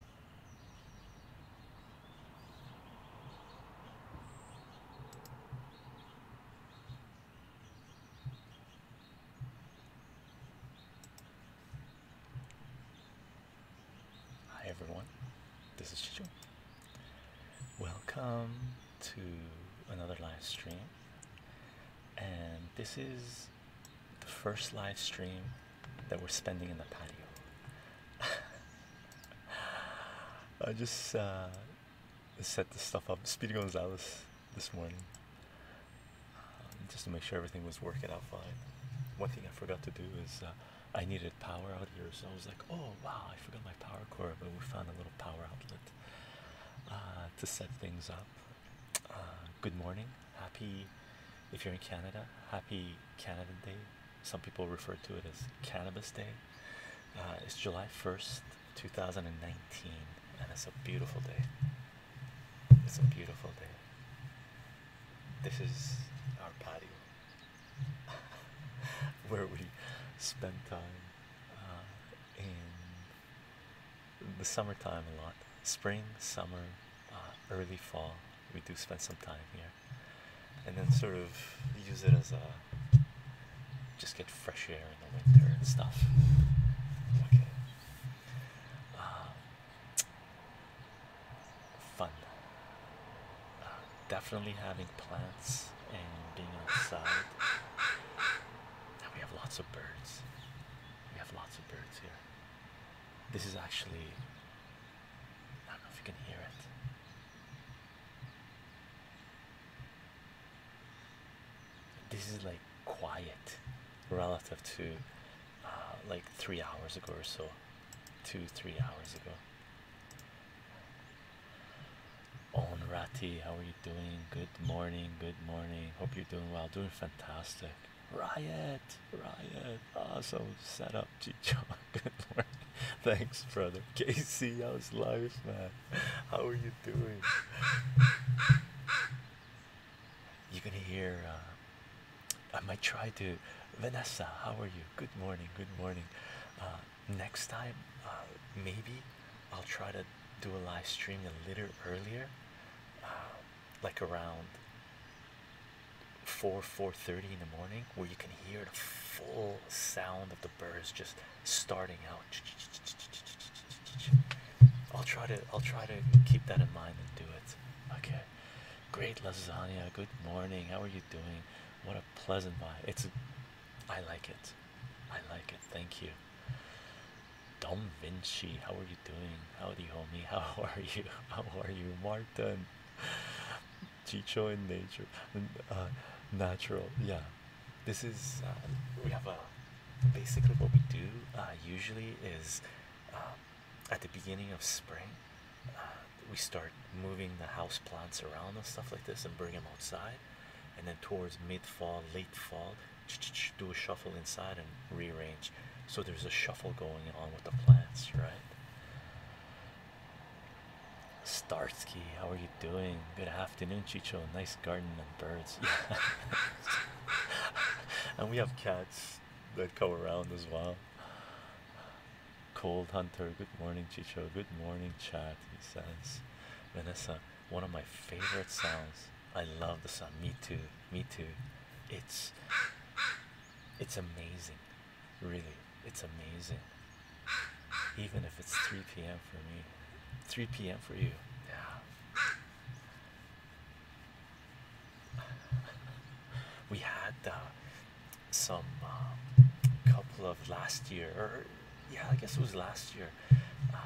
Hi everyone, this is Chicho. Welcome to another live stream, and this is the first live stream that we're spending in the patio. I just uh, set the stuff up. Speedy Gonzalez this morning, um, just to make sure everything was working out fine. One thing I forgot to do is uh, I needed power out here, so I was like, "Oh wow, I forgot my power cord," but we found a little power outlet uh, to set things up. good morning. Happy, if you're in Canada, happy Canada Day. Some people refer to it as Cannabis Day. Uh, it's July 1st, 2019, and it's a beautiful day. It's a beautiful day. This is our patio where we spend time uh, in the summertime a lot. Spring, summer, uh, early fall, we do spend some time here and then sort of use it as a just get fresh air in the winter and stuff. Okay. Um, fun. Uh, definitely having plants and being outside. Now we have lots of birds. We have lots of birds here. This is actually I don't know if you can hear it. This is like quiet relative to uh, like three hours ago or so, two, three hours ago. Onrati, how are you doing? Good morning, good morning. Hope you're doing well, doing fantastic. Riot, riot, awesome setup, Chicho. Good morning, thanks, brother. Casey, how's life, man? How are you doing? You're gonna hear. Uh, I might try to. Vanessa, how are you? Good morning, good morning. Uh, next time, uh, maybe I'll try to do a live stream a little earlier like around 4 4 in the morning where you can hear the full sound of the birds just starting out i'll try to i'll try to keep that in mind and do it okay great lasagna good morning how are you doing what a pleasant vibe it's i like it i like it thank you Don Vinci, how are you doing? Howdy, homie. How are you? How are you, Martin? Chicho in nature, uh, natural. Yeah, this is um, we have a basically what we do uh, usually is um, at the beginning of spring uh, we start moving the house plants around and stuff like this and bring them outside, and then towards mid fall, late fall, do a shuffle inside and rearrange. So there's a shuffle going on with the plants, right? Starsky, how are you doing? Good afternoon, Chicho. Nice garden and birds. and we have cats that come around as well. Cold Hunter, good morning, Chicho. Good morning, chat. He says, Vanessa, one of my favorite sounds. I love the sound. Me too. Me too. It's it's amazing. Really, it's amazing. Even if it's 3 p.m. for me, 3 p.m. for you. Yeah. We had uh, some uh, couple of last year, yeah, I guess it was last year. Uh,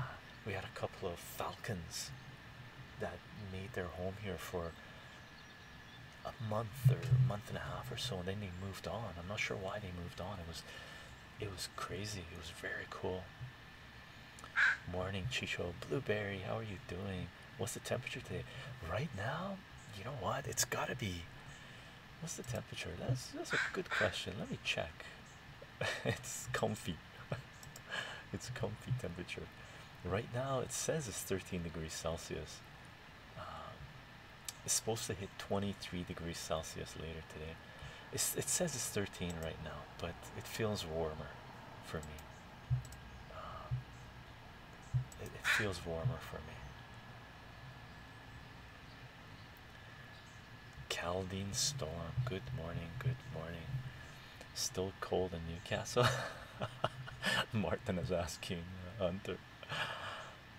we had a couple of falcons that made their home here for a month or month and a half or so and then they moved on i'm not sure why they moved on it was it was crazy it was very cool morning chicho blueberry how are you doing what's the temperature today right now you know what it's got to be what's the temperature that's that's a good question let me check it's comfy it's comfy temperature right now it says it's 13 degrees celsius um, it's supposed to hit 23 degrees Celsius later today. it says it's 13 right now, but it feels warmer for me. Um, it, it feels warmer for me. Caldine storm. Good morning. Good morning. Still cold in Newcastle. Martin is asking uh, Hunter.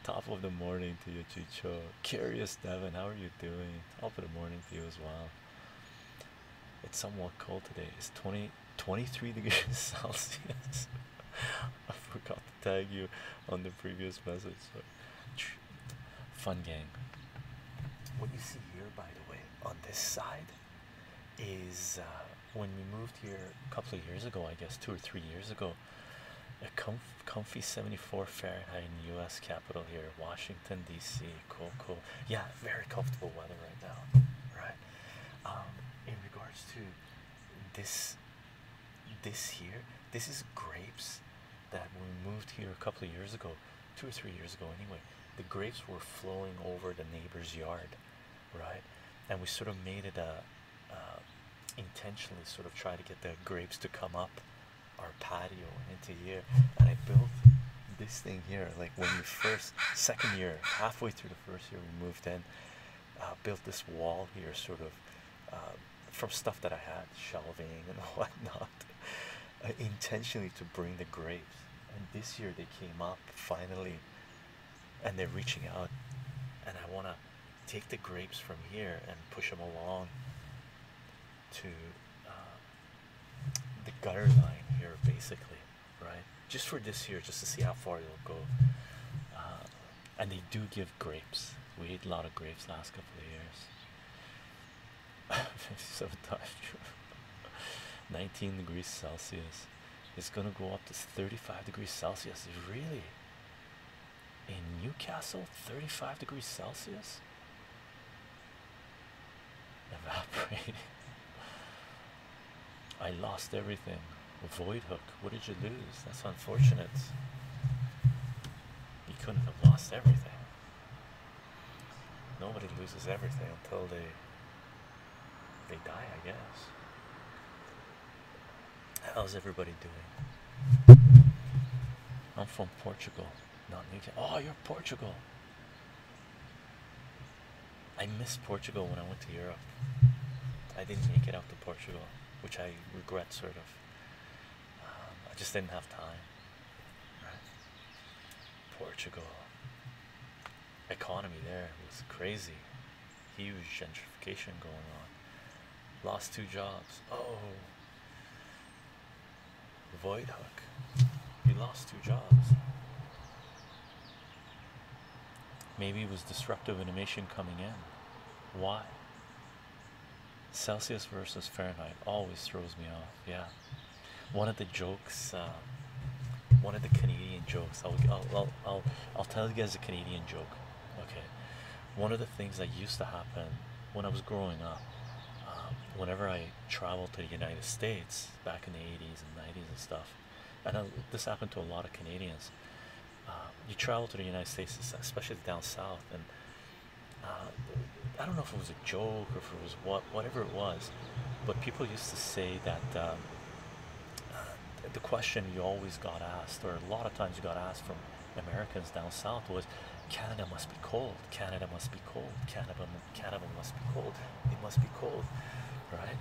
Top of the morning to you, Chicho. Curious, Devin, how are you doing? Top of the morning to you as well. It's somewhat cold today. It's 20, 23 degrees Celsius. I forgot to tag you on the previous message. Fun game. What you see here, by the way, on this side is uh, when we moved here a couple of years ago, I guess two or three years ago, a comf comfy 74 Fahrenheit in U.S. capital here, Washington D.C. Cool, cool. Yeah, very comfortable weather right now, right? Um, in regards to this, this here, this is grapes that we moved here a couple of years ago, two or three years ago, anyway. The grapes were flowing over the neighbor's yard, right? And we sort of made it a um, intentionally sort of try to get the grapes to come up our patio into here. And I built this thing here, like when we first, second year, halfway through the first year, we moved in, uh, built this wall here, sort of um, from stuff that I had, shelving and whatnot, uh, intentionally to bring the grapes. And this year they came up finally and they're reaching out and i want to take the grapes from here and push them along to uh, the gutter line here basically right just for this year just to see how far it'll go uh, and they do give grapes we ate a lot of grapes last couple of years so 19 degrees celsius it's going to go up to 35 degrees Celsius. Really? In Newcastle, 35 degrees Celsius? Evaporating. I lost everything. Void hook. What did you lose? That's unfortunate. You couldn't have lost everything. Nobody loses everything until they they die, I guess. How's everybody doing? I'm from Portugal, not New Newcastle. Oh, you're Portugal. I missed Portugal when I went to Europe. I didn't make it out to Portugal, which I regret sort of. Um, I just didn't have time. Portugal economy there was crazy. Huge gentrification going on. Lost two jobs. Oh. Void hook. He lost two jobs. Maybe it was disruptive animation coming in. Why? Celsius versus Fahrenheit always throws me off. Yeah. One of the jokes, uh, one of the Canadian jokes, I'll, I'll I'll tell you guys a Canadian joke. Okay, one of the things that used to happen when I was growing up, um, whenever I traveled to the United States back in the '80s and '90s and stuff, and this happened to a lot of Canadians. Um, you travel to the United States, especially down south, and um, I don't know if it was a joke or if it was what, whatever it was, but people used to say that the question you always got asked, or a lot of times you got asked from Americans down south, was Canada must be cold, Canada must be cold, Canada, Canada must be cold, it must be cold, right?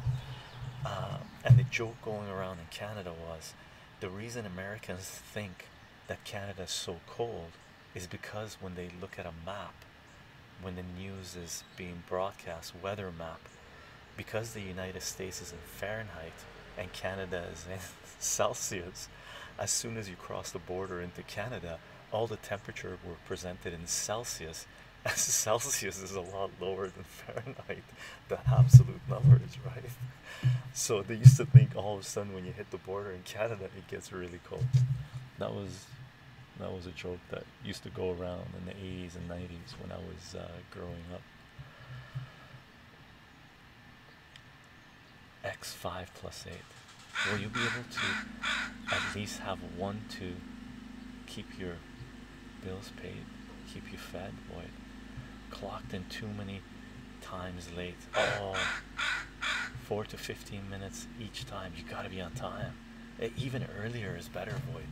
Uh, and the joke going around in Canada was the reason Americans think that Canada is so cold is because when they look at a map, when the news is being broadcast, weather map, because the United States is in Fahrenheit and Canada is in Celsius, as soon as you cross the border into Canada, all the temperature were presented in Celsius. As Celsius is a lot lower than Fahrenheit, the absolute numbers, right? So they used to think all of a sudden when you hit the border in Canada, it gets really cold. That was that was a joke that used to go around in the 80s and 90s when I was uh, growing up x5 plus 8 will you be able to at least have one to keep your bills paid keep you fed boy clocked in too many times late Oh, four to 15 minutes each time you got to be on time even earlier is better void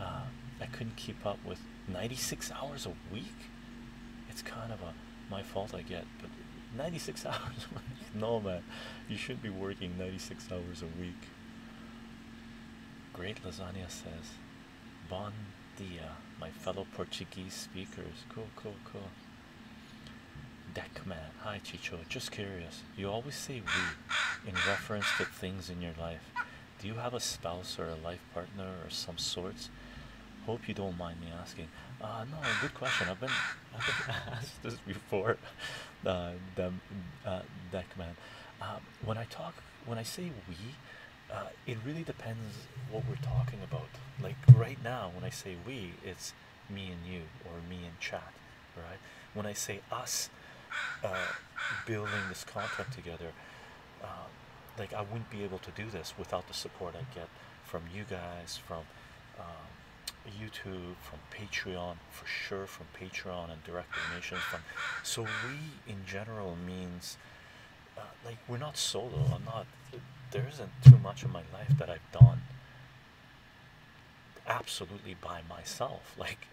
uh, i couldn't keep up with 96 hours a week. It's kind of a my fault I get, but 96 hours a week. No, man, you should be working 96 hours a week. Great lasagna says, Bon dia, my fellow Portuguese speakers. Cool, cool, cool. Deck man, hi Chicho, just curious. You always say we in reference to things in your life. Do you have a spouse or a life partner or some sorts? Hope you don't mind me asking. Uh, no, good question. I've been, asked this before. Uh, uh that command. Um, when I talk, when I say we, uh, it really depends what we're talking about. Like right now, when I say we, it's me and you or me and chat, right? When I say us, building this content together, um, like I wouldn't be able to do this without the support I get from you guys, from um, YouTube, from Patreon, for sure, from Patreon and direct donations. From so we in general means uh, like we're not solo. I'm not. There isn't too much in my life that I've done absolutely by myself. Like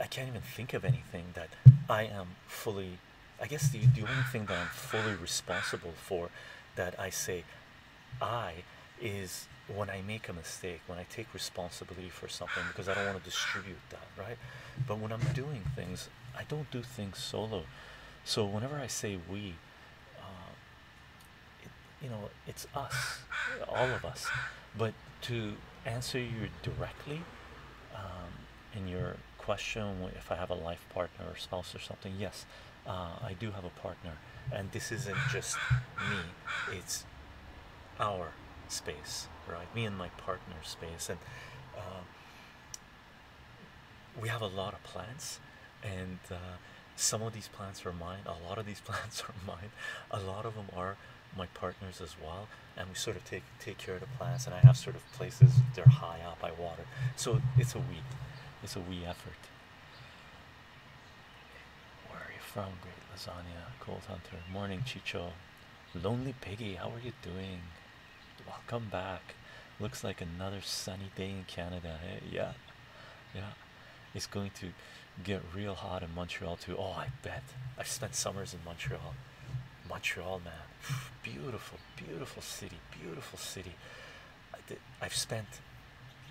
I can't even think of anything that I am fully. I guess the, the only thing that I'm fully responsible for that I say I is when I make a mistake, when I take responsibility for something, because I don't want to distribute that, right? But when I'm doing things, I don't do things solo. So whenever I say we, uh, you know, it's us, all of us. But to answer you directly um, in your question, if I have a life partner or spouse or something, yes, uh, I do have a partner, and this isn't just me, it's our space, right? Me and my partner's space, and um, we have a lot of plants, and uh, some of these plants are mine, a lot of these plants are mine, a lot of them are my partners as well and we sort of take take care of the plants and I have sort of places they're high up by water so it's a we it's a we effort where are you from great lasagna cold hunter morning Chicho lonely piggy how are you doing welcome back looks like another sunny day in Canada hey? yeah yeah it's going to get real hot in Montreal too. Oh, I bet I've spent summers in Montreal. Montreal, man, beautiful, beautiful city, beautiful city. I did, I've spent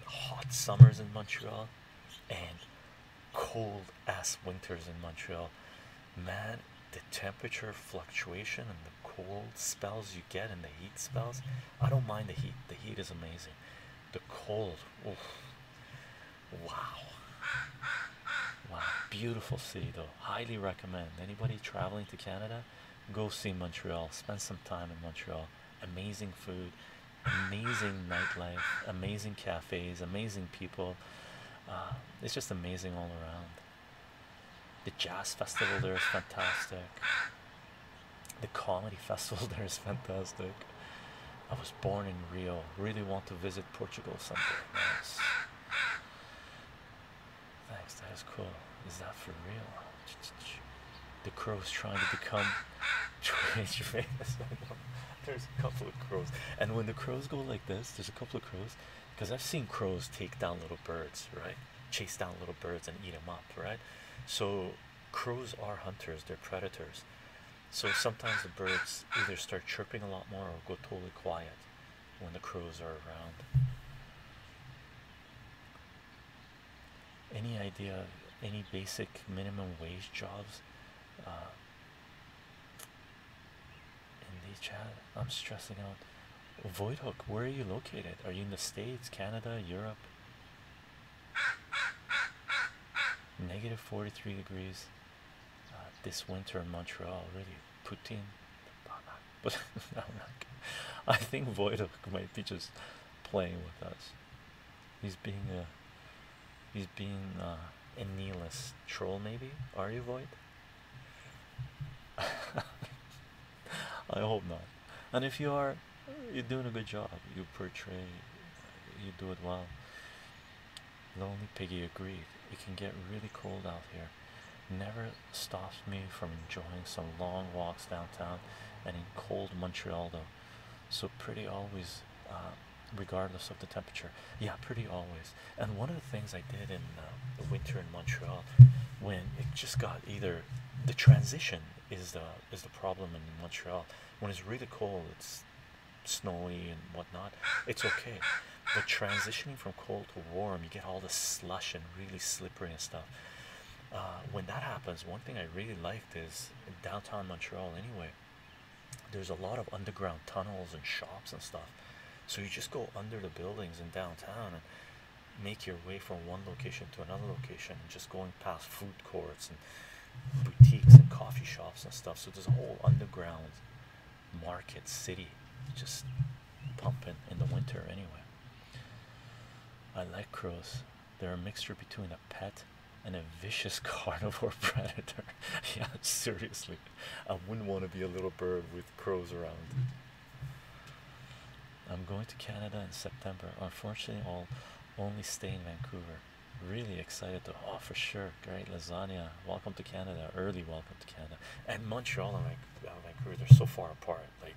hot summers in Montreal and cold ass winters in Montreal. Man, the temperature fluctuation and the cold spells you get and the heat spells. I don't mind the heat, the heat is amazing. The cold, oof. Wow. Wow. Beautiful city though. Highly recommend. Anybody traveling to Canada, go see Montreal. Spend some time in Montreal. Amazing food, amazing nightlife, amazing cafes, amazing people. Uh, it's just amazing all around. The jazz festival there is fantastic. The comedy festival there is fantastic. I was born in Rio. Really want to visit Portugal someday. Nice. Thanks, that is cool. Is that for real? The crow's trying to become famous. there's a couple of crows. And when the crows go like this, there's a couple of crows. Because I've seen crows take down little birds, right? Chase down little birds and eat them up, right? So crows are hunters, they're predators. So sometimes the birds either start chirping a lot more or go totally quiet when the crows are around. Any idea of any basic minimum wage jobs uh, in the chat? I'm stressing out. Voidhook, where are you located? Are you in the States, Canada, Europe? Negative 43 degrees. Uh, this winter in Montreal. Really, Putin. But I think Voidok might be just playing with us. He's being a he's being uh, a nihilist troll, maybe. Are you Void? I hope not. And if you are, you're doing a good job. You portray, you do it well. Lonely Piggy agreed. It can get really cold out here. Never stops me from enjoying some long walks downtown and in cold Montreal, though. So, pretty always, uh, regardless of the temperature. Yeah, pretty always. And one of the things I did in uh, the winter in Montreal when it just got either the transition is the is the problem in Montreal when it's really cold it's snowy and whatnot, it's okay. But transitioning from cold to warm, you get all the slush and really slippery and stuff. Uh, when that happens, one thing I really liked is downtown Montreal, anyway, there's a lot of underground tunnels and shops and stuff. So you just go under the buildings in downtown and make your way from one location to another location, and just going past food courts and boutiques and coffee shops and stuff. So there's a whole underground market city just pumping in the winter anyway. I like crows. They're a mixture between a pet and a vicious carnivore predator. yeah, seriously. I wouldn't want to be a little bird with crows around. I'm going to Canada in September. Unfortunately, I'll only stay in Vancouver. Really excited though. Oh, for sure. Great lasagna. Welcome to Canada. Early welcome to Canada. And Montreal and Vancouver, they're so far apart. Like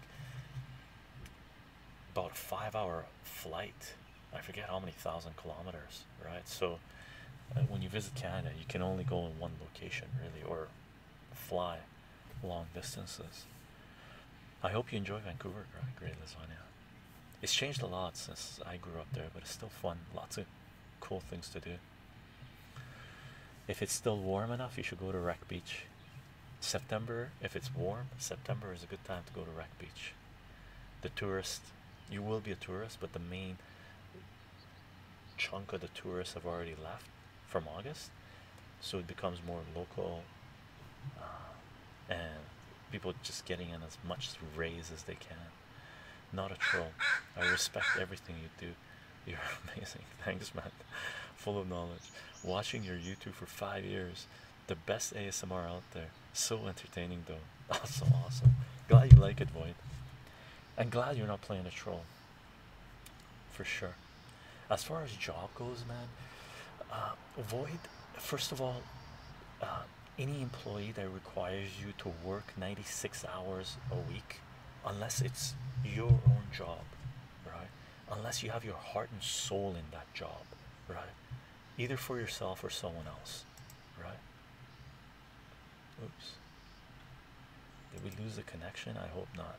about a five hour flight. I forget how many thousand kilometers, right? So uh, when you visit Canada, you can only go in one location, really, or fly long distances. I hope you enjoy Vancouver. Great lasagna. It's changed a lot since I grew up there, but it's still fun. Lots of cool things to do. If it's still warm enough, you should go to Wreck Beach. September, if it's warm, September is a good time to go to Wreck Beach. The tourists, you will be a tourist, but the main chunk of the tourists have already left from August, so it becomes more local uh, and people just getting in as much rays as they can. Not a troll. I respect everything you do. You're amazing. Thanks, man. Full of knowledge. Watching your YouTube for five years. The best ASMR out there. So entertaining, though. Awesome, awesome. Glad you like it, Void. And glad you're not playing a troll. For sure. As far as job goes, man, uh, Void, first of all, uh, any employee that requires you to work 96 hours a week unless it's your own job right unless you have your heart and soul in that job right either for yourself or someone else right oops did we lose the connection i hope not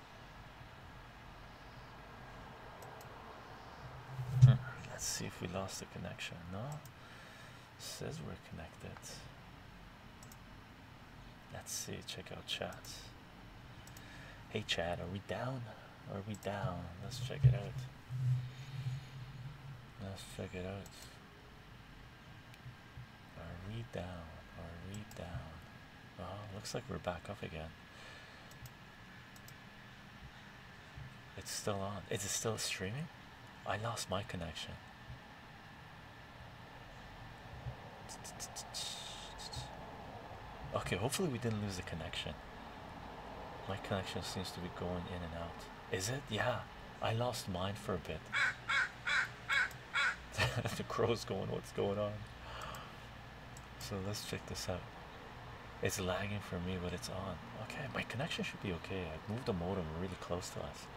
Let's see if we lost the connection. No, it says we're connected. Let's see. Check out chat. Hey Chad, are we down? Are we down? Let's check it out. Let's check it out. Are we down? Are we down? Oh, looks like we're back up again. It's still on. Is it still streaming? I lost my connection. Okay, hopefully we didn't lose the connection. My connection seems to be going in and out. Is it? Yeah. I lost mine for a bit. the crow's going, what's going on? So let's check this out. It's lagging for me, but it's on. Okay, my connection should be okay. I've moved the modem really close to us.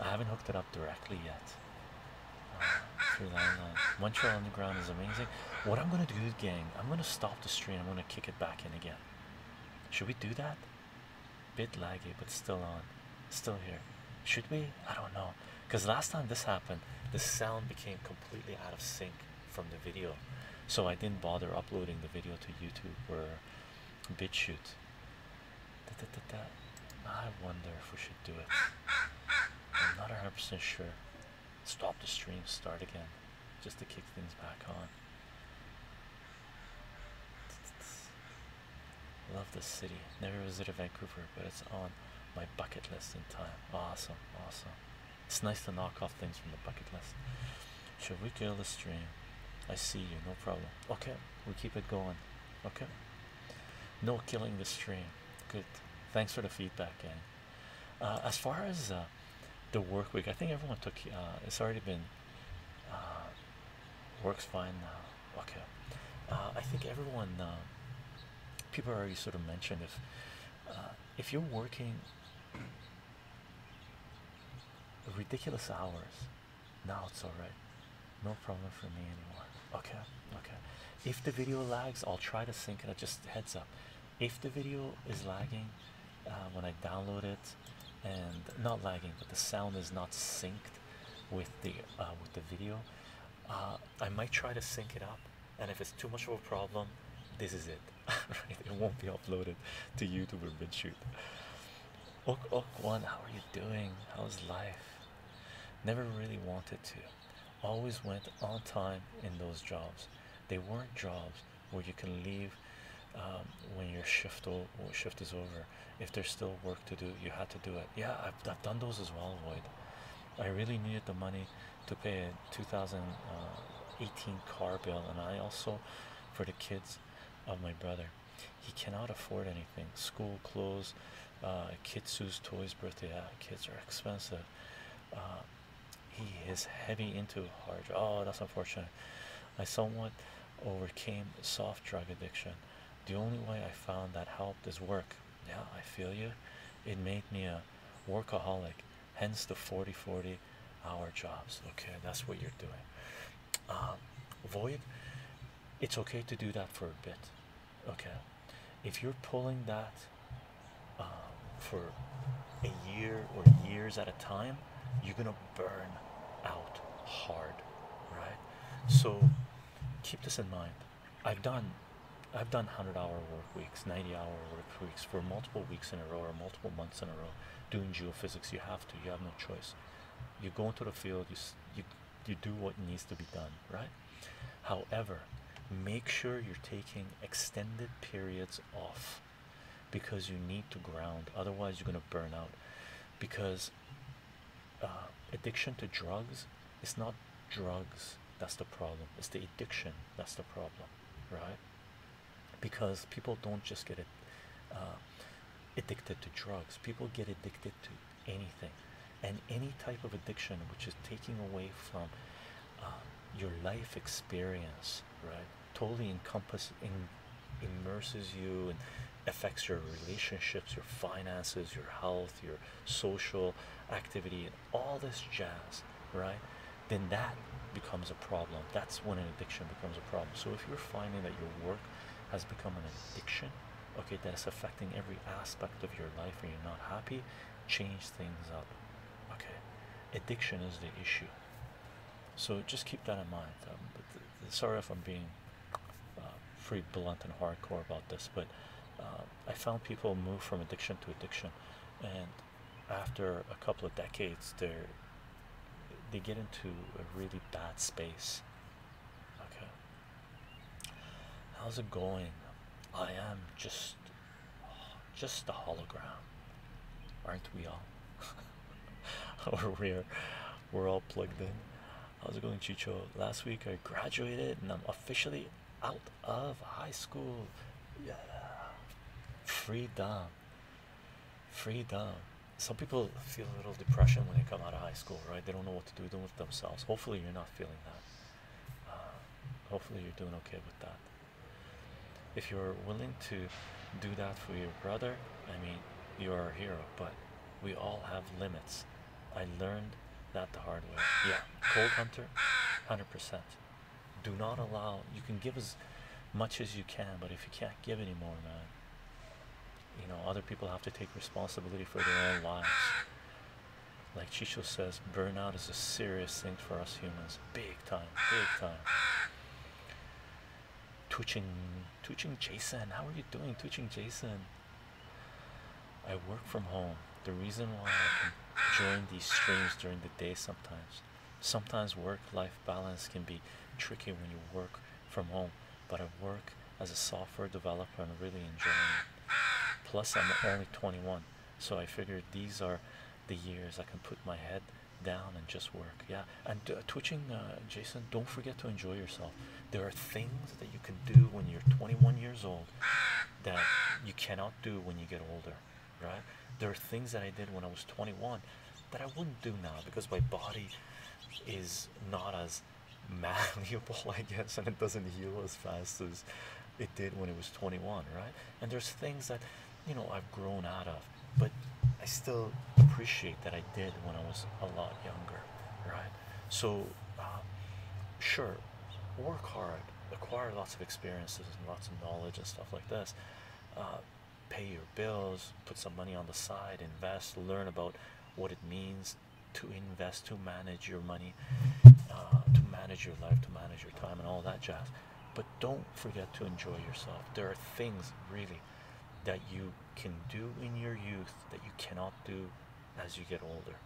I haven't hooked it up directly yet. Uh, through landline. Montreal Underground is amazing. What I'm gonna do, gang, I'm gonna stop the stream. I'm gonna kick it back in again. Should we do that? Bit laggy, but still on. Still here. Should we? I don't know. Because last time this happened, the sound became completely out of sync from the video so i didn't bother uploading the video to youtube or bitchute i wonder if we should do it i'm not 100 percent sure stop the stream start again just to kick things back on Love the city. Never visited Vancouver, but it's on my bucket list in time. Awesome, awesome. It's nice to knock off things from the bucket list. Should we kill the stream? I see you, no problem. Okay, we keep it going. Okay. No killing the stream. Good. Thanks for the feedback, gang. Uh, as far as uh, the work week, I think everyone took. Uh, it's already been. works fine now. Okay. I think everyone. people already sort of mentioned if uh, if you're working ridiculous hours now it's all right no problem for me anymore okay okay if the video lags i'll try to sync it just heads up if the video is lagging uh, when i download it and not lagging but the sound is not synced with the uh, with the video I might try to sync it up, and if it's too much of a problem, this is it. It won't be uploaded to YouTube or BitChute. Ok, ok, one. How are you doing? How's life? Never really wanted to. Always went on time in those jobs. They weren't jobs where you can leave um, when your shift shift is over. If there's still work to do, you had to do it. Yeah, I've, done those as well, Void. I really needed the money to pay a 2018 car bill, and I also for the kids of my brother. He cannot afford anything school clothes, uh, Kitsu's toys, birthday. Yeah, uh, kids are expensive. Uh, he is heavy into hard. Oh, that's unfortunate. I somewhat overcame soft drug addiction. The only way I found that helped is work. Yeah, I feel you. It made me a workaholic hence the 40 40 hour jobs. Okay, that's what you're doing. Um, void, it's okay to do that for a bit. Okay, if you're pulling that um, for a year or years at a time, you're gonna burn out hard, right? So keep this in mind. I've done I've done 100 hour work weeks, 90 hour work weeks for multiple weeks in a row or multiple months in a row doing geophysics. You have to, you have no choice. You go into the field, you, you, you do what needs to be done, right? However, make sure you're taking extended periods off because you need to ground, otherwise, you're going to burn out. Because uh, addiction to drugs, is not drugs that's the problem, it's the addiction that's the problem right? Because people don't just get uh, addicted to drugs, people get addicted to anything. And any type of addiction which is taking away from uh, your life experience, right, totally encompasses, immerses you and affects your relationships, your finances, your health, your social activity, all this jazz, right? Then that becomes a problem. That's when an addiction becomes a problem. So if you're finding that your work has become an addiction, okay, that's affecting every aspect of your life and you're not happy, change things up. Okay, addiction is the issue. So just keep that in mind. Um, sorry if I'm being uh, pretty blunt and hardcore about this, but uh, I found people move from addiction to addiction, and after a couple of decades they they get into a really bad space okay how's it going i am just just a hologram aren't we all or we're we're all plugged in how's it going chicho last week i graduated and i'm officially out of high school. Yeah. Freedom. Freedom. Some people feel a little depression when they come out of high school, right? They don't know what to do with themselves. Hopefully, you're not feeling that. Uh, hopefully, you're doing okay with that. If you're willing to do that for your brother, I mean, you are a hero, but we all have limits. I learned that the hard way. Yeah, Cold Hunter, 100% do not allow you can give as much as you can but if you can't give anymore man you know other people have to take responsibility for their own lives like chicho says burnout is a serious thing for us humans big time big time Twitching, twitching, Jason, how are you doing, twitching, Jason? I work from home. The reason why I can join these streams during the day sometimes. Sometimes work life balance can be tricky when you work from home, but I work as a software developer and really enjoying it. Plus, I'm only 21, so I figured these are the years I can put my head down and just work. Yeah, and uh, twitching, uh, Jason, don't forget to enjoy yourself. There are things that you can do when you're 21 years old that you cannot do when you get older right? There are things that I did when I was 21 that I wouldn't do now because my body is not as malleable, I guess, and it doesn't heal as fast as it did when it was 21, right? And there's things that you know I've grown out of, but I still appreciate that I did when I was a lot younger, right? So, uh, sure, work hard, acquire lots of experiences and lots of knowledge and stuff like this. Uh, pay your bills, put some money on the side, invest, learn about what it means to invest, to manage your money, uh, to manage your life, to manage your time, and all that jazz. But don't forget to enjoy yourself. There are things really that you can do in your youth that you cannot do as you get older.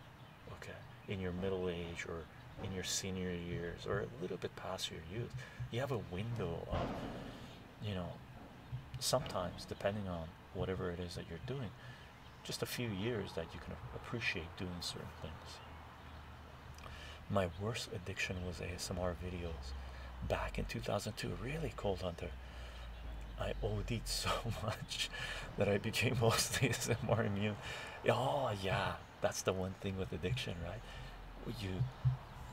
Okay in your middle age or in your senior years or a little bit past your youth you have a window of you know sometimes depending on whatever it is that you're doing just a few years that you can appreciate doing certain things my worst addiction was asmr videos back in 2002 really cold hunter I OD'd so much that I became mostly ASMR immune. Oh yeah, that's the one thing with addiction, right? You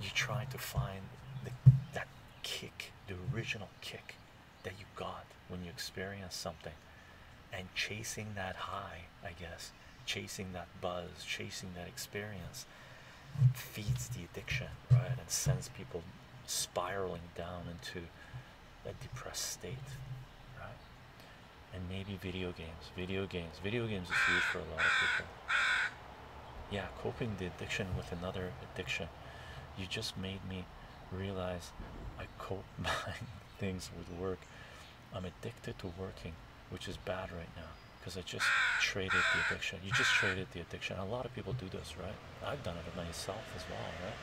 you try to find the, that kick, the original kick that you got when you experience something, and chasing that high, I guess, chasing that buzz, chasing that experience, feeds the addiction, right, and sends people spiraling down into a depressed state, right? and maybe video games. Video games. Video games is used for a lot of people. Yeah, coping the addiction with another addiction. You just made me realize I cope my things with work. I'm addicted to working, which is bad right now because I just traded the addiction. You just traded the addiction. A lot of people do this, right? I've done it myself as well, right?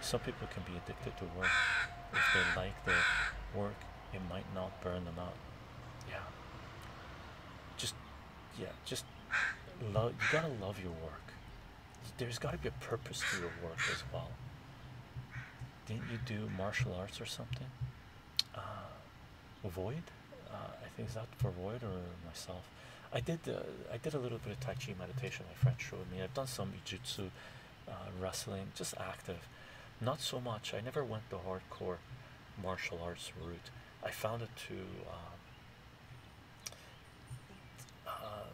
Some people can be addicted to work if they like their work it might not burn them out. Yeah. Just, yeah, just love. You gotta love your work. There's gotta be a purpose to your work as well. Didn't you do martial arts or something? Uh, void. Uh, I think it's that for void or myself. I did. Uh, I did a little bit of Tai Chi meditation. My friend showed me. I've done some Jitsu uh, wrestling, just active. Not so much. I never went the hardcore martial arts route. I found it too. Um, uh,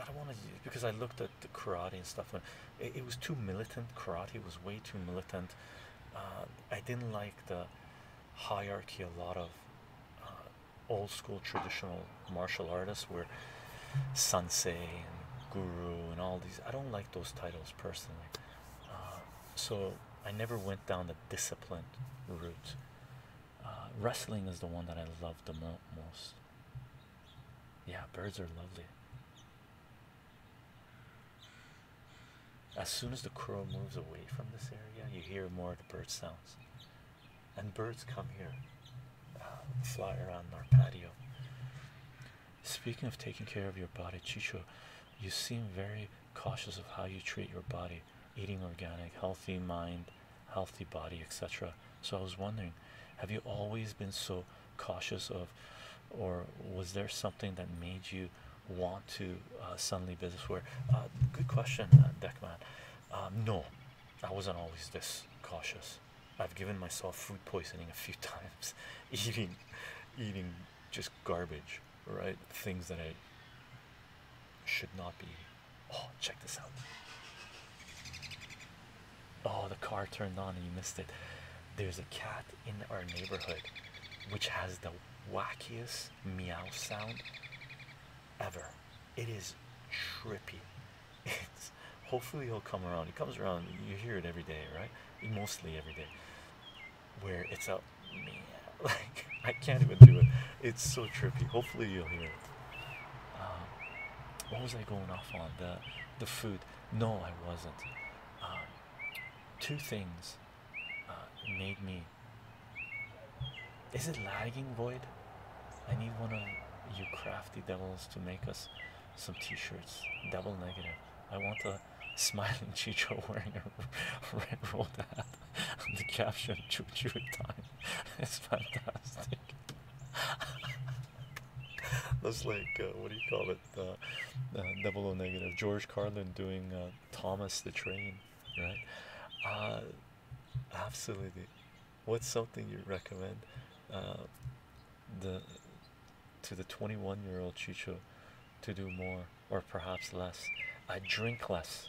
I don't want to because I looked at the karate and stuff. And it, was too militant. Karate was way too militant. Uh, I didn't like the hierarchy a lot of old school traditional martial artists were sensei and guru and all these. I don't like those titles personally. Um, so I never went down the disciplined route. Uh, wrestling is the one that I love the most. Yeah, birds are lovely. As soon as the crow moves away from this area, you hear more of the bird sounds. And birds come here, uh, fly around our patio. Speaking of taking care of your body, Chicho, you seem very cautious of how you treat your body, eating organic, healthy mind, healthy body, etc. So I was wondering, have you always been so cautious of, or was there something that made you want to uh, suddenly business where? Uh, good question, Deckman. Uh, um, no, I wasn't always this cautious. I've given myself food poisoning a few times, eating, eating just garbage, right? Things that I should not be. Oh, check this out. Oh, the car turned on and you missed it. There's a cat in our neighborhood which has the wackiest meow sound ever. It is trippy. It's, hopefully he'll come around. He comes around. You hear it every day, right? Mostly every day. Where it's a like I can't even do it. It's so trippy. Hopefully you'll hear it. Um, what was I going off on? The the food? No, I wasn't. Um, two things uh, made me. Is it lagging void? I need one of you crafty devils to make us some t-shirts double negative i want a smiling chicho wearing a red roll hat. the caption choo time it's fantastic that's like uh, what do you call it double negative george carlin doing uh, thomas the train right uh, absolutely what's something you recommend the to the 21 year old Chicho to do more or perhaps less. I drink less.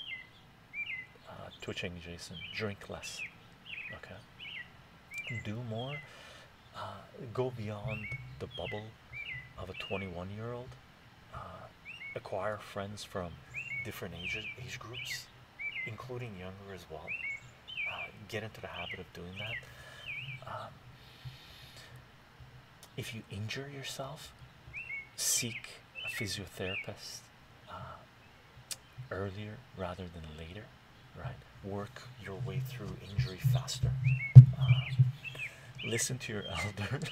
Uh, twitching Jason, drink less. Okay. Do more. Uh, go beyond the bubble of a 21 year old. Uh, acquire friends from different age, age groups, including younger as well. Uh, get into the habit of doing that. Um, if you injure yourself, seek a physiotherapist uh, earlier rather than later, right? Work your way through injury faster. Uh, listen to your elders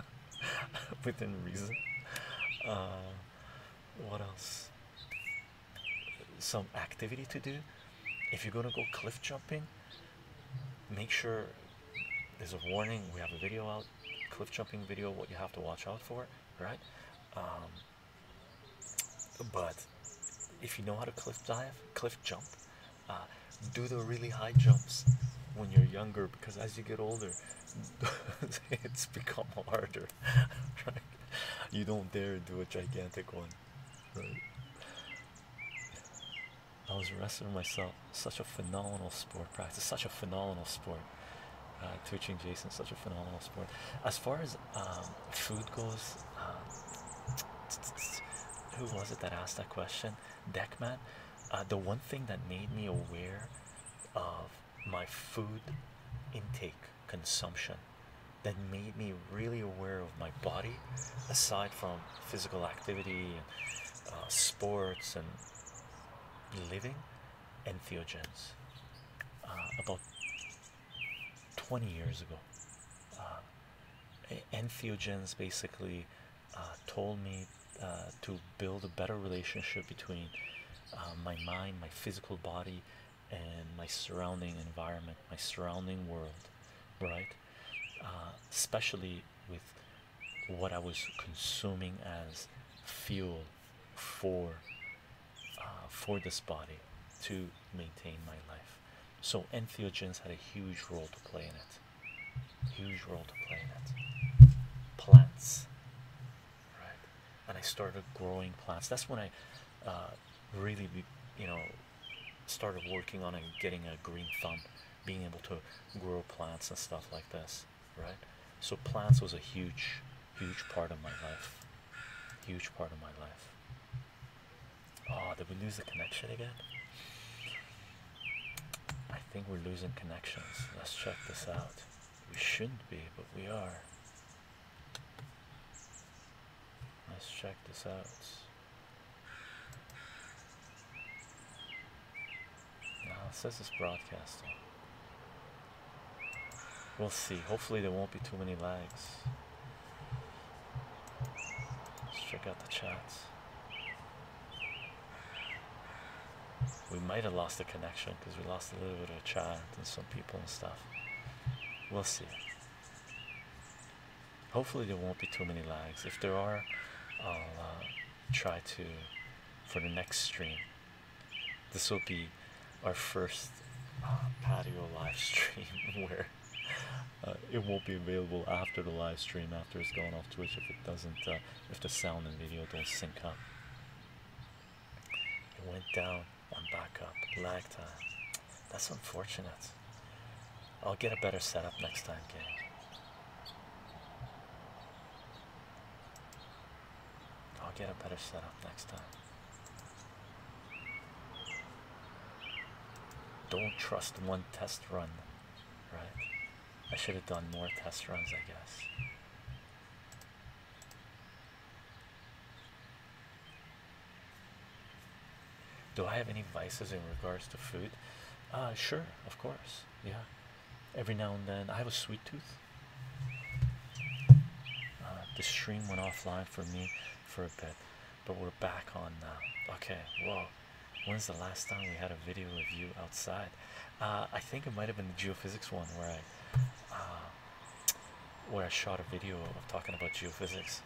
within reason. what else? some activity to do if you're going to go cliff jumping make sure there's a warning we have a video out cliff jumping video what you have to watch out for right um, but if you know how to cliff dive cliff jump uh, do the really high jumps when you're younger because as you get older it's become harder you don't dare do a gigantic one I was wrestling myself. Such a phenomenal sport practice. Such a phenomenal sport. Uh, Teaching Jason, such a phenomenal sport. As far as um, food goes, um, who was it that asked that question? Deckman. Uh, the one thing that made me aware of my food intake consumption that made me really aware of my body aside from physical activity and uh, sports and living entheogens uh, about 20 years ago uh, entheogens basically uh, told me uh, to build a better relationship between my mind my physical body and my surrounding environment, my surrounding world, right? Uh, especially with what I was consuming as fuel for uh, for this body to maintain my life. So entheogens had a huge role to play in it. Huge role to play in it. Plants, right? And I started growing plants. That's when I uh, really, you know, started working on and getting a green thumb, being able to grow plants and stuff like this, right? So plants was a huge, huge part of my life. Huge part of my life. Oh, did we lose the connection again? I think we're losing connections. Let's check this out. We shouldn't be, but we are. Let's check this out. Now it says it's broadcasting. We'll see. Hopefully there won't be too many lags. Let's check out the chat. We might have lost the connection because we lost a little bit of a chat and some people and stuff. We'll see. Hopefully, there won't be too many lags. If there are, I'll uh, try to for the next stream. This will be our first uh, patio live stream where uh, it won't be available after the live stream after it's gone off Twitch if it doesn't, if the sound and video don't sync up. It went down and back up, lag time. That's unfortunate. I'll get a better setup next time, gang. I'll get a better setup next time. Don't trust one test run, right? I should have done more test runs, I guess. Do I have any vices in regards to food? Uh, sure, of course. Yeah, every now and then I have a sweet tooth. Uh, the stream went offline for me for a bit, but we're back on now. Okay, Well, When's the last time we had a video of you outside? Uh, I think it might have been the geophysics one where I, where I shot a video of talking about geophysics.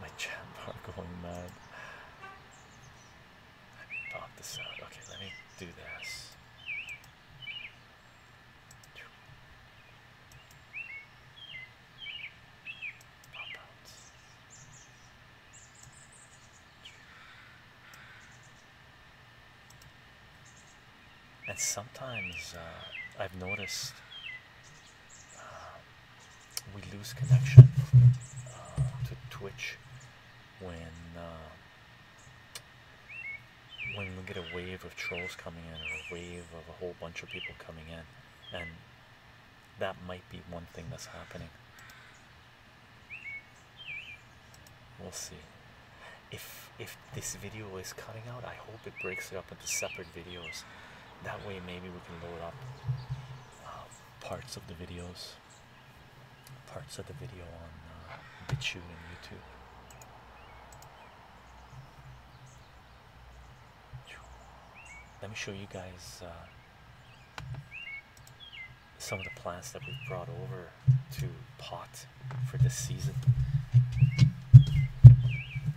My chat bar going mad. Let me pop this out. Okay, let me do this and sometimes uh, I've noticed um, we lose connection uh, to Twitch when uh, when we get a wave of trolls coming in or a wave of a whole bunch of people coming in, and that might be one thing that's happening. We'll see. If if this video is cutting out, I hope it breaks it up into separate videos. That way, maybe we can load up um, parts of the videos, parts of the video on uh, and YouTube. Let me show you guys uh, some of the plants that we've brought over to pot for this season.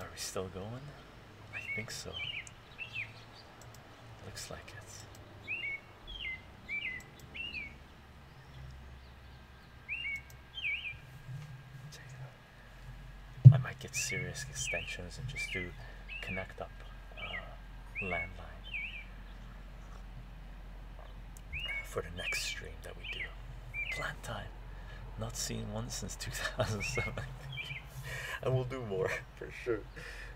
Are we still going? I think so. Looks like it. I might get serious extensions and just do connect up uh, landline for the next stream that we do. Plant time. Not seen one since 2007. and we'll do more for sure.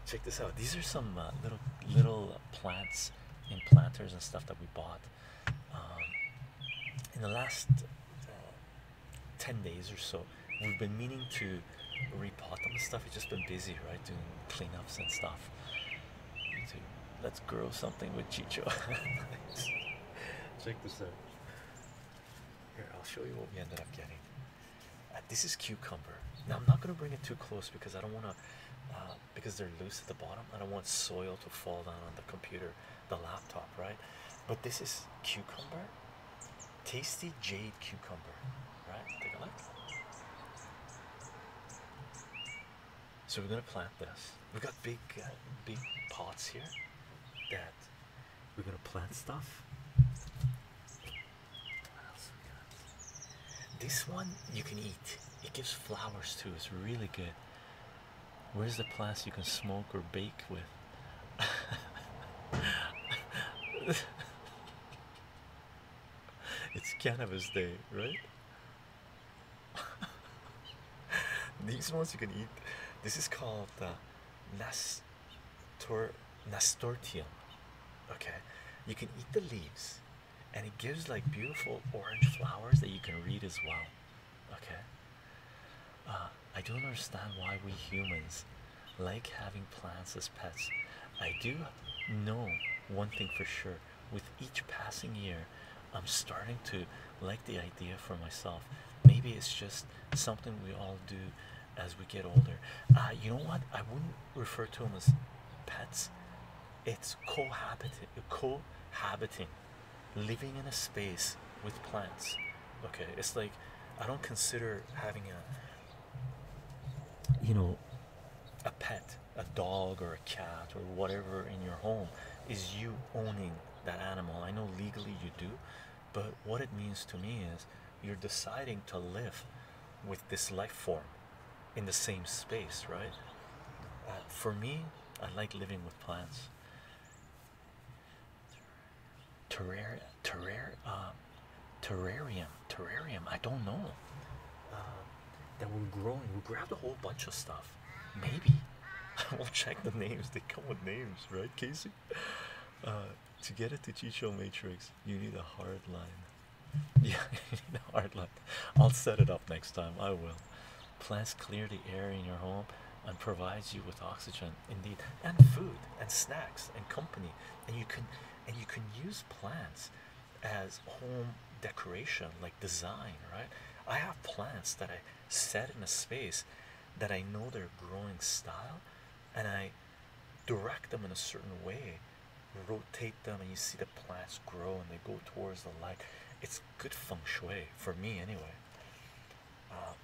Check this out. These are some uh, little little uh, plants in planters and stuff that we bought um, in the last uh, ten days or so. We've been meaning to repot them and stuff. It's just been busy, right, doing cleanups and stuff. let's grow something with Chicho. Check this out. Here, I'll show you what we ended up getting. Uh, this is cucumber. Now, I'm not going to bring it too close because I don't want to, uh, because they're loose at the bottom. I don't want soil to fall down on the computer, the laptop, right? But this is cucumber, tasty jade cucumber, right? Take a look. So we're gonna plant this. We've got big, uh, big pots here we're gonna plant stuff. This one you can eat. It gives flowers too. It's really good. Where's the plants you can smoke or bake with? it's cannabis day, right? These ones you can eat. This is called uh, Nas nasturtium. Okay, you can eat the leaves, and it gives like beautiful orange flowers that you can read as well. Okay, uh, I don't understand why we humans like having plants as pets. I do know one thing for sure with each passing year, I'm starting to like the idea for myself. Maybe it's just something we all do as we get older. Uh, you know what? I wouldn't refer to them as pets. It's cohabiting, cohabiting, living in a space with plants. Okay, it's like I don't consider having a, you know, a pet, a dog or a cat or whatever in your home is you owning that animal. I know legally you do, but what it means to me is you're deciding to live with this life form in the same space, right? Uh, for me, I like living with plants. Terrar terrar uh, terrarium, terrarium, I don't know. Uh, that we're growing, we grabbed a whole bunch of stuff. Maybe. I will check the names, they come with names, right, Casey? Uh, to get it to Chicho Matrix, you need a hard line. Yeah, you need a hard line. I'll set it up next time. I will. Plants clear the air in your home and provides you with oxygen, indeed, and food and snacks and company. And you can, and you can use plants as home decoration, like design, right? I have plants that I set in a space that I know they're growing style, and I direct them in a certain way, rotate them, and you see the plants grow and they go towards the light. It's good feng shui for me, anyway. Uh,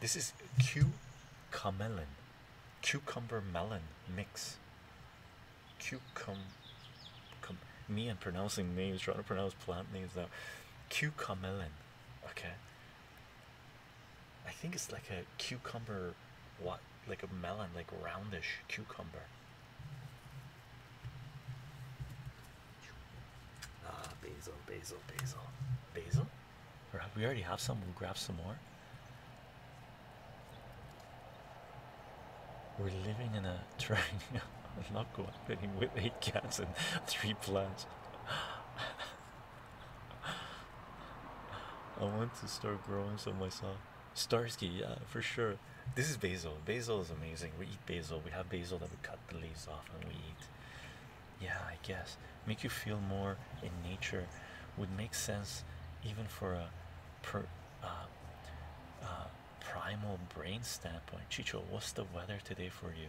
this is cucamelon, cucumber melon mix. Cucumber, cum, me and pronouncing names, trying to pronounce plant names now. Cucamelon, okay. I think it's like a cucumber, what like a melon, like roundish cucumber. Ah, basil, basil, basil, basil. We already have some. We'll grab some more. We're living in a triangle. I'm not cooperating with eight cats and three plants. I want to start growing some myself. Starsky, yeah, for sure. This is basil. Basil is amazing. We eat basil. We have basil that we cut the leaves off and we eat. Yeah, I guess. Make you feel more in nature would make sense even for a uh, uh, primal brain standpoint. Chicho, what's the weather today for you?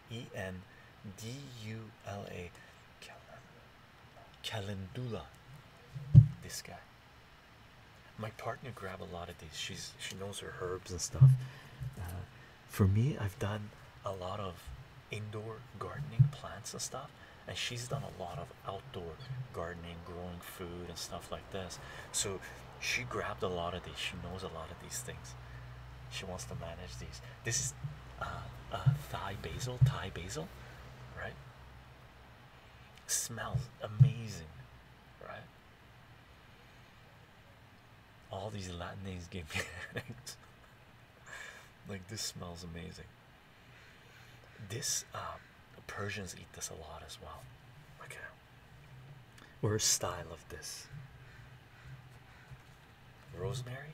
E N D U L A Calendula. This guy. My partner grabbed a lot of these. She's she knows her herbs and stuff. Uh, for me, I've done a lot of indoor gardening, plants and stuff, and she's done a lot of outdoor gardening, growing food and stuff like this. So she grabbed a lot of these. She knows a lot of these things. She wants to manage these. This is uh, Thai basil, Thai basil, right? Smells amazing, right? All these Latin names give me like this smells amazing. This um, Persians eat this a lot as well. Okay, we're style of this. Rosemary?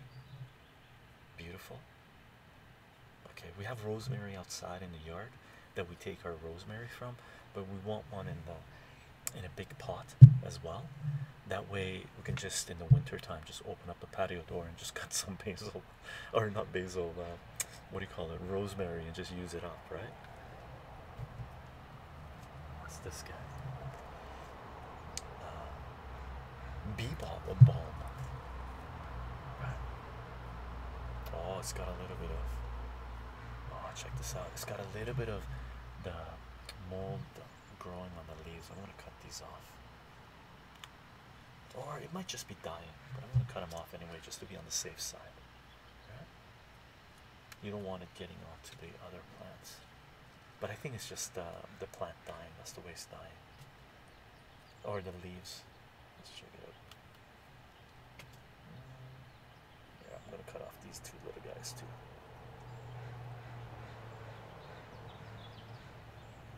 Beautiful. Okay, we have rosemary outside in the yard that we take our rosemary from, but we want one in the in a big pot as well. That way we can just in the winter time just open up the patio door and just cut some basil or not basil, uh, what do you call it, rosemary and just use it up, right? What's this guy? Uh, Bebop, a bulb. Oh, it's got a little bit of. Oh, check this out. It's got a little bit of the mold growing on the leaves. I'm gonna cut these off. Or it might just be dying, but I'm gonna cut them off anyway, just to be on the safe side. You don't want it getting onto the other plants. But I think it's just uh, the plant dying, that's the waste dying. Or the leaves. Let's check it out. Mm, yeah, I'm gonna cut off these two little guys too.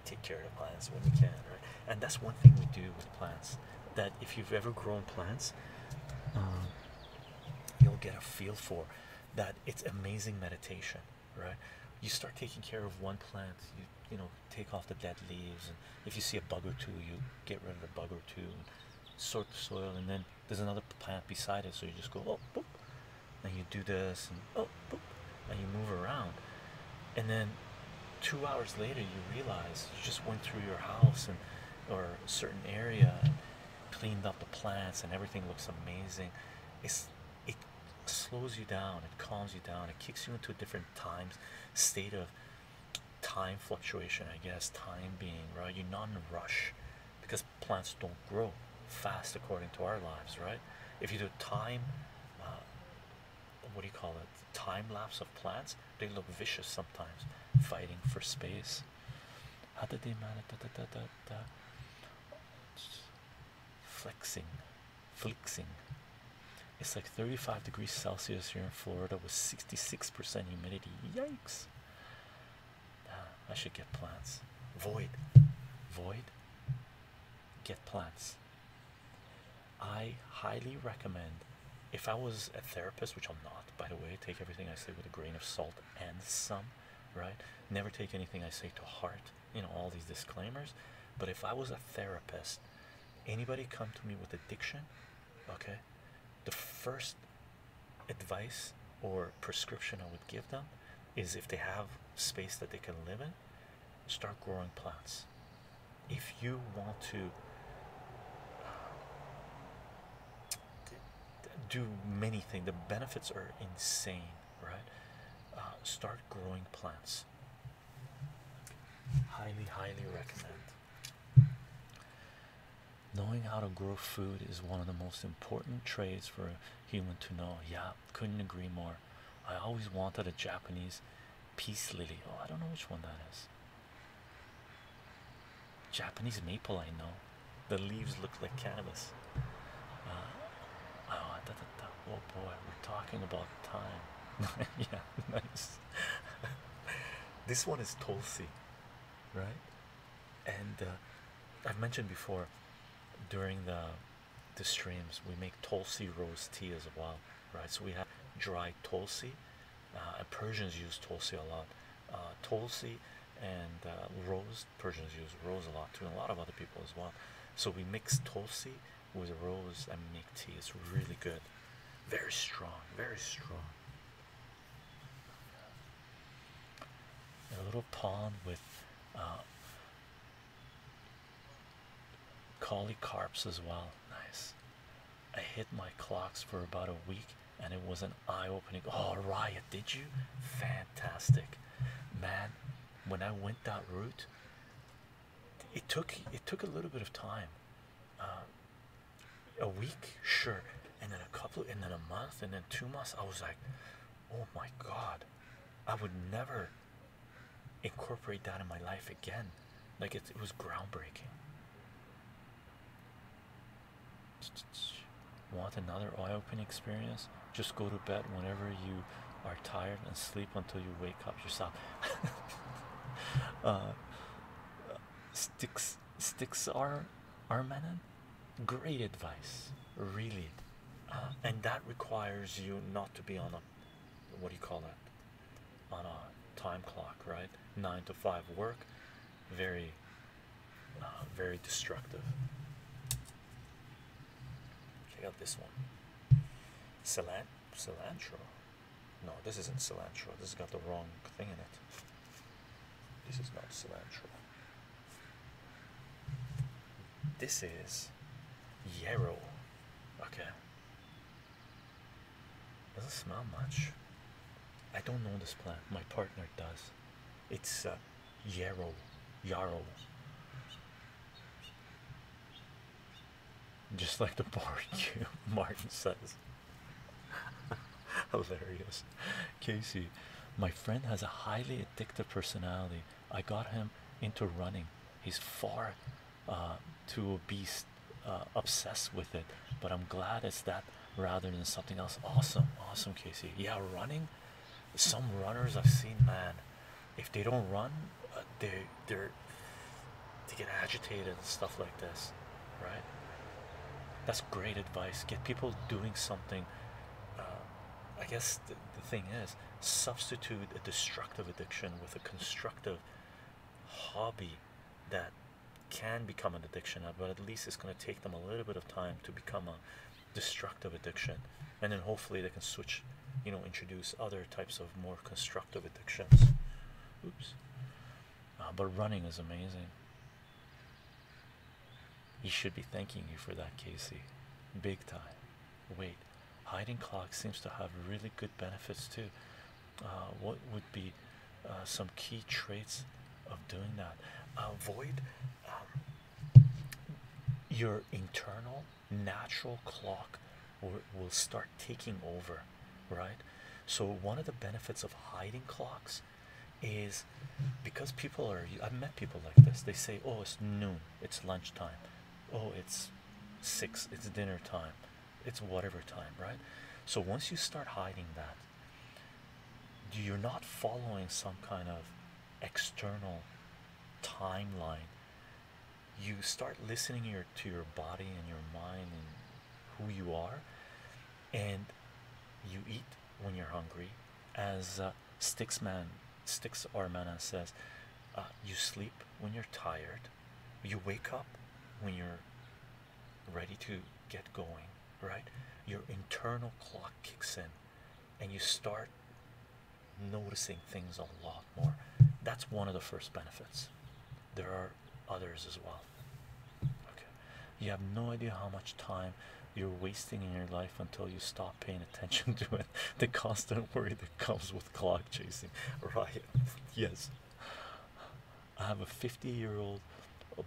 Take care of the plants when we can, right? And that's one thing we do with plants. That if you've ever grown plants, um, you'll get a feel for that it's amazing meditation, right? You start taking care of one plant, you you know, take off the dead leaves, and if you see a bug or two, you get rid of the bug or two, and sort the soil, and then there's another plant beside it, so you just go oh boop, and you do this, and oh boop, and you move around, and then two hours later you realize you just went through your house and or a certain area cleaned up the plants and everything looks amazing it's it slows you down it calms you down it kicks you into a different times state of time fluctuation i guess time being right you're not in a rush because plants don't grow fast according to our lives right if you do time uh, what do you call it time lapse of plants they look vicious sometimes fighting for space how did they manage? Da, da, da, da, da. Flexing, flexing. It's like 35 degrees Celsius here in Florida with 66% humidity. Yikes! I should get plants. Void, void. Get plants. I highly recommend. If I was a therapist, which I'm not, by the way, take everything I say with a grain of salt and some right? Never take anything I say to heart, you know, all these disclaimers. But if I was a therapist, anybody come to me with addiction, okay, the first advice or prescription I would give them is if they have space that they can live in, start growing plants. If you want to do many things. The benefits are insane, right? Uh, start growing plants. Highly, highly recommend. Knowing how to grow food is one of the most important trades for a human to know. Yeah, couldn't agree more. I always wanted a Japanese peace lily. Oh, I don't know which one that is. Japanese maple, I know. The leaves look like cannabis. Uh, oh, oh, boy, we're talking about time. yeah, nice. this one is Tulsi, right? And uh, I've mentioned before during the the streams we make Tulsi rose tea as well, right? So we have dry Tulsi. Uh, Persians use Tulsi a lot. Uh, Tulsi and rose Persians use rose a lot too, and a lot of other people as well. So we mix Tulsi with rose and make tea. It's really good, very strong, very strong. A little pond with uh, Collicarps as well. Nice. I hit my clocks for about a week and it was an eye opening. Oh, did you? Fantastic, man. When I went that route, it took it took a little bit of time. Uh, a week, sure, and then a couple, and then a month, and then two months. I was like, oh my god, I would never incorporate that in my life again. Like it was groundbreaking. Want another eye opening experience? Just go to bed whenever you are tired and sleep until you wake up yourself. uh, sticks, sticks are Armenon. Great advice, really. Uh, and that requires you not to be on a what do you call that? On a time clock, right? Nine to five work, very uh, very destructive. Check out this one. Cilant cilantro. No, this isn't cilantro. This has got the wrong thing in it. This is not cilantro. This is yarrow. Okay. Doesn't smell much. I don't know this plant. My partner does. It's uh, Yarrow. Yarrow. Just like the barbecue, Martin says. Hilarious. Casey, my friend has a highly addictive personality. I got him into running. He's far uh, too obese, uh, obsessed with it. But I'm glad it's that rather than something else. Awesome, awesome, Casey. Yeah, running some runners I've seen, man, if they don't run, uh, they they they get agitated and stuff like this, right? That's great advice. Get people doing something. Uh, I guess the, the thing is, substitute a destructive addiction with a constructive hobby that can become an addiction, but at least it's going to take them a little bit of time to become a destructive addiction and then hopefully they can switch you know introduce other types of more constructive addictions oops uh, but running is amazing you should be thanking you for that casey big time wait hiding clock seems to have really good benefits too uh, what would be uh, some key traits of doing that Avoid. Um, your internal natural clock will start taking over, right? So, one of the benefits of hiding clocks is because people are, I've met people like this, they say, Oh, it's noon, it's lunchtime, oh, it's six, it's dinner time, it's whatever time, right? So, once you start hiding that, you're not following some kind of external timeline you start listening your, to your body and your mind and who you are and you eat when you're hungry as uh, sticks man sticks armana says uh, you sleep when you're tired you wake up when you're ready to get going right your internal clock kicks in and you start noticing things a lot more. That's one of the first benefits. There are others as well. Okay, you have no idea how much time you're wasting in your life until you stop paying attention to it. The constant worry that comes with clock chasing, right? Yes, I have a 50 year old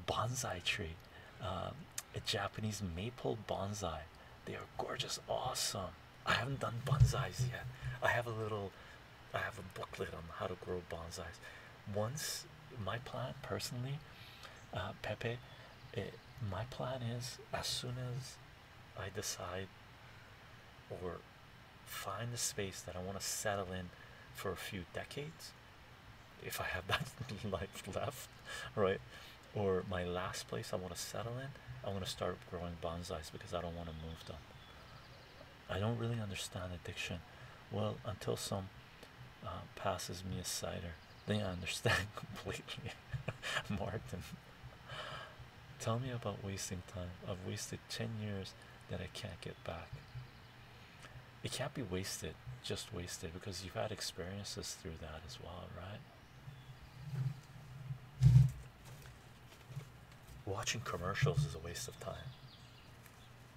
bonsai tree. Um, a Japanese maple bonsai. They are gorgeous, awesome. I haven't done bonsais yet. I have a little, I have a booklet on how to grow bonsais. Once my plan personally, uh, Pepe, my plan is as soon as I decide or find the space that I want to settle in for a few decades, if I have that life left, right? or my last place I want to settle in, I want to start growing bonsais because I don't want to move them. I don't really understand addiction. Well, until someone uh, passes me a cider, then I understand completely. Martin, tell me about wasting time. I've wasted 10 years that I can't get back. It can't be wasted, just wasted, because you've had experiences through that as well, right? Watching commercials is a waste of time.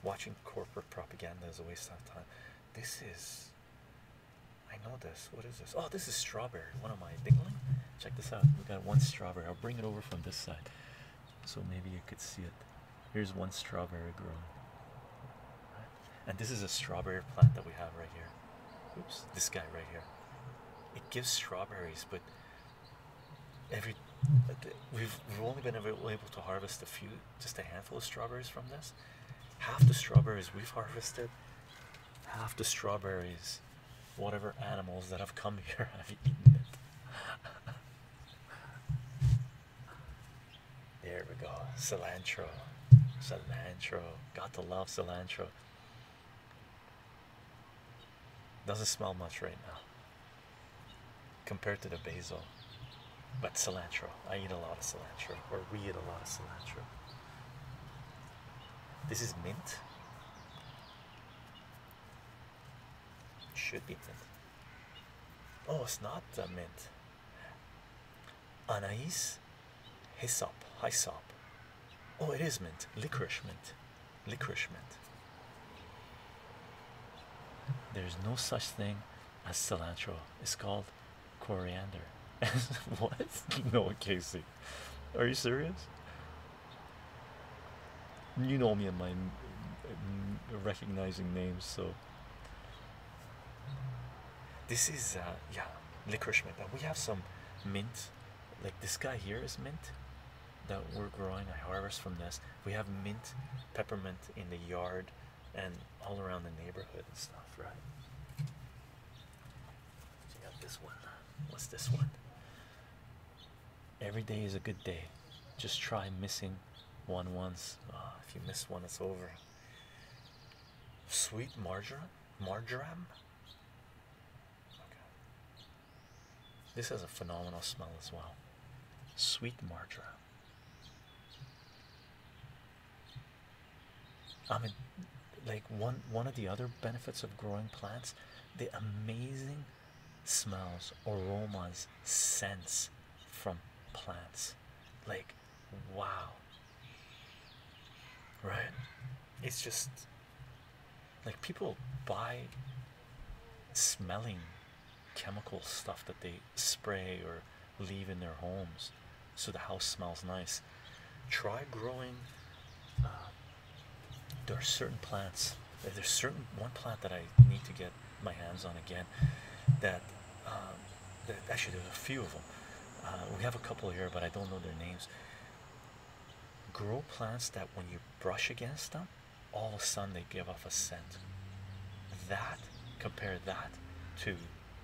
Watching corporate propaganda is a waste of time. This is. I know this. What is this? Oh, this is strawberry. One of my dingling. Check this out. We got one strawberry. I'll bring it over from this side, so maybe you could see it. Here's one strawberry growing and this is a strawberry plant that we have right here. Oops, this guy right here. It gives strawberries, but every we've we've only been able to harvest a few, just a handful of strawberries from this. Half the strawberries we've harvested, half the strawberries, whatever animals that have come here have eaten it. There we go. Cilantro. Cilantro. Got to love cilantro. Doesn't smell much right now compared to the basil. But cilantro. I eat a lot of cilantro. Or we eat a lot of cilantro. This is mint. Should be mint. Oh, it's not the mint. Anais, Hyssop, Hyssop. Oh, it is mint. Licorice mint. Licorice mint. There's no such thing as cilantro. It's called coriander. what? No, Casey. Are you serious? You know me and my mm, recognizing names, so this is uh, yeah, licorice mint. We have some mint, like this guy here is mint that we're growing. I harvest from this. We have mint, peppermint in the yard, and all around the neighborhood and stuff, right? you got this one. What's this one? Every day is a good day. Just try missing one once. Ah, if you miss one, it's over. Sweet marjoram. Marjoram? This has a phenomenal smell as well. Sweet marjoram. I mean, like one one of the other benefits of growing plants, the amazing smells, aromas, scents from plants. Like wow. Right? It's just like people buy smelling chemical stuff that they spray or leave in their homes so the house smells nice. Try growing. Uh, there are certain plants. There's certain one plant that I need to get my hands on again that um, actually there's a few of them uh, we have a couple here but i don't know their names grow plants that when you brush against them all of a sudden they give off a scent that compare that to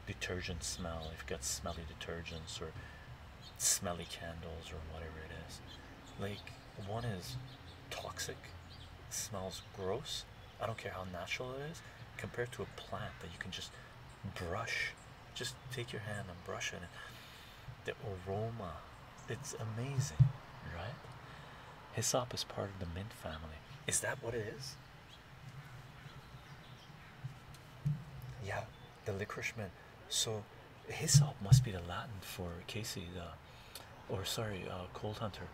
detergent smell if you've got smelly detergents or smelly candles or whatever it is like one is toxic smells gross i don't care how natural it is compared to a plant that you can just brush just take your hand and brush it the aroma it's amazing right hyssop is part of the mint family is that what it is yeah the licorice mint so hyssop must be the latin for casey the uh, or sorry uh, cold hunter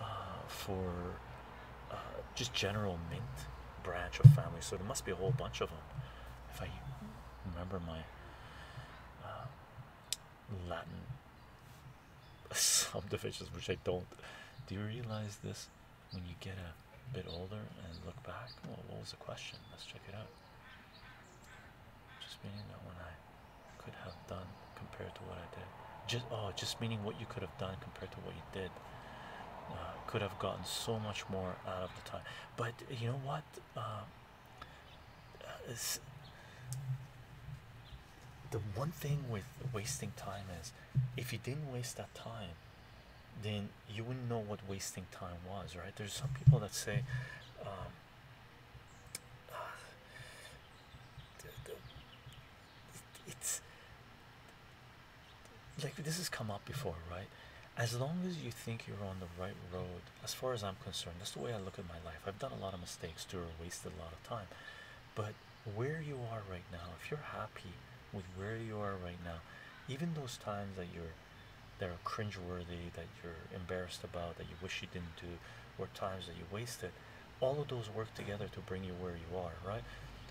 uh, for just general mint branch of family. So there must be a whole bunch of them. If I remember my uh, Latin subdivisions, which I don't. Do you realize this when you get a bit older and look back? Well, what was the question? Let's check it out. Just meaning that when I could have done compared to what I did. Just oh, just meaning what you could have done compared to what you did. Uh, could have gotten so much more out of the time, but you know what? Um, uh, the one thing with wasting time is if you didn't waste that time, then you wouldn't know what wasting time was, right? There's some people that say, um, it's like this has come up before, right? As long as you think you're on the right road, as far as I'm concerned, that's the way I look at my life. I've done a lot of mistakes too, or wasted a lot of time. But where you are right now, if you're happy with where you are right now, even those times that you're that are cringe worthy, that you're embarrassed about, that you wish you didn't do, or times that you wasted, all of those work together to bring you where you are, right?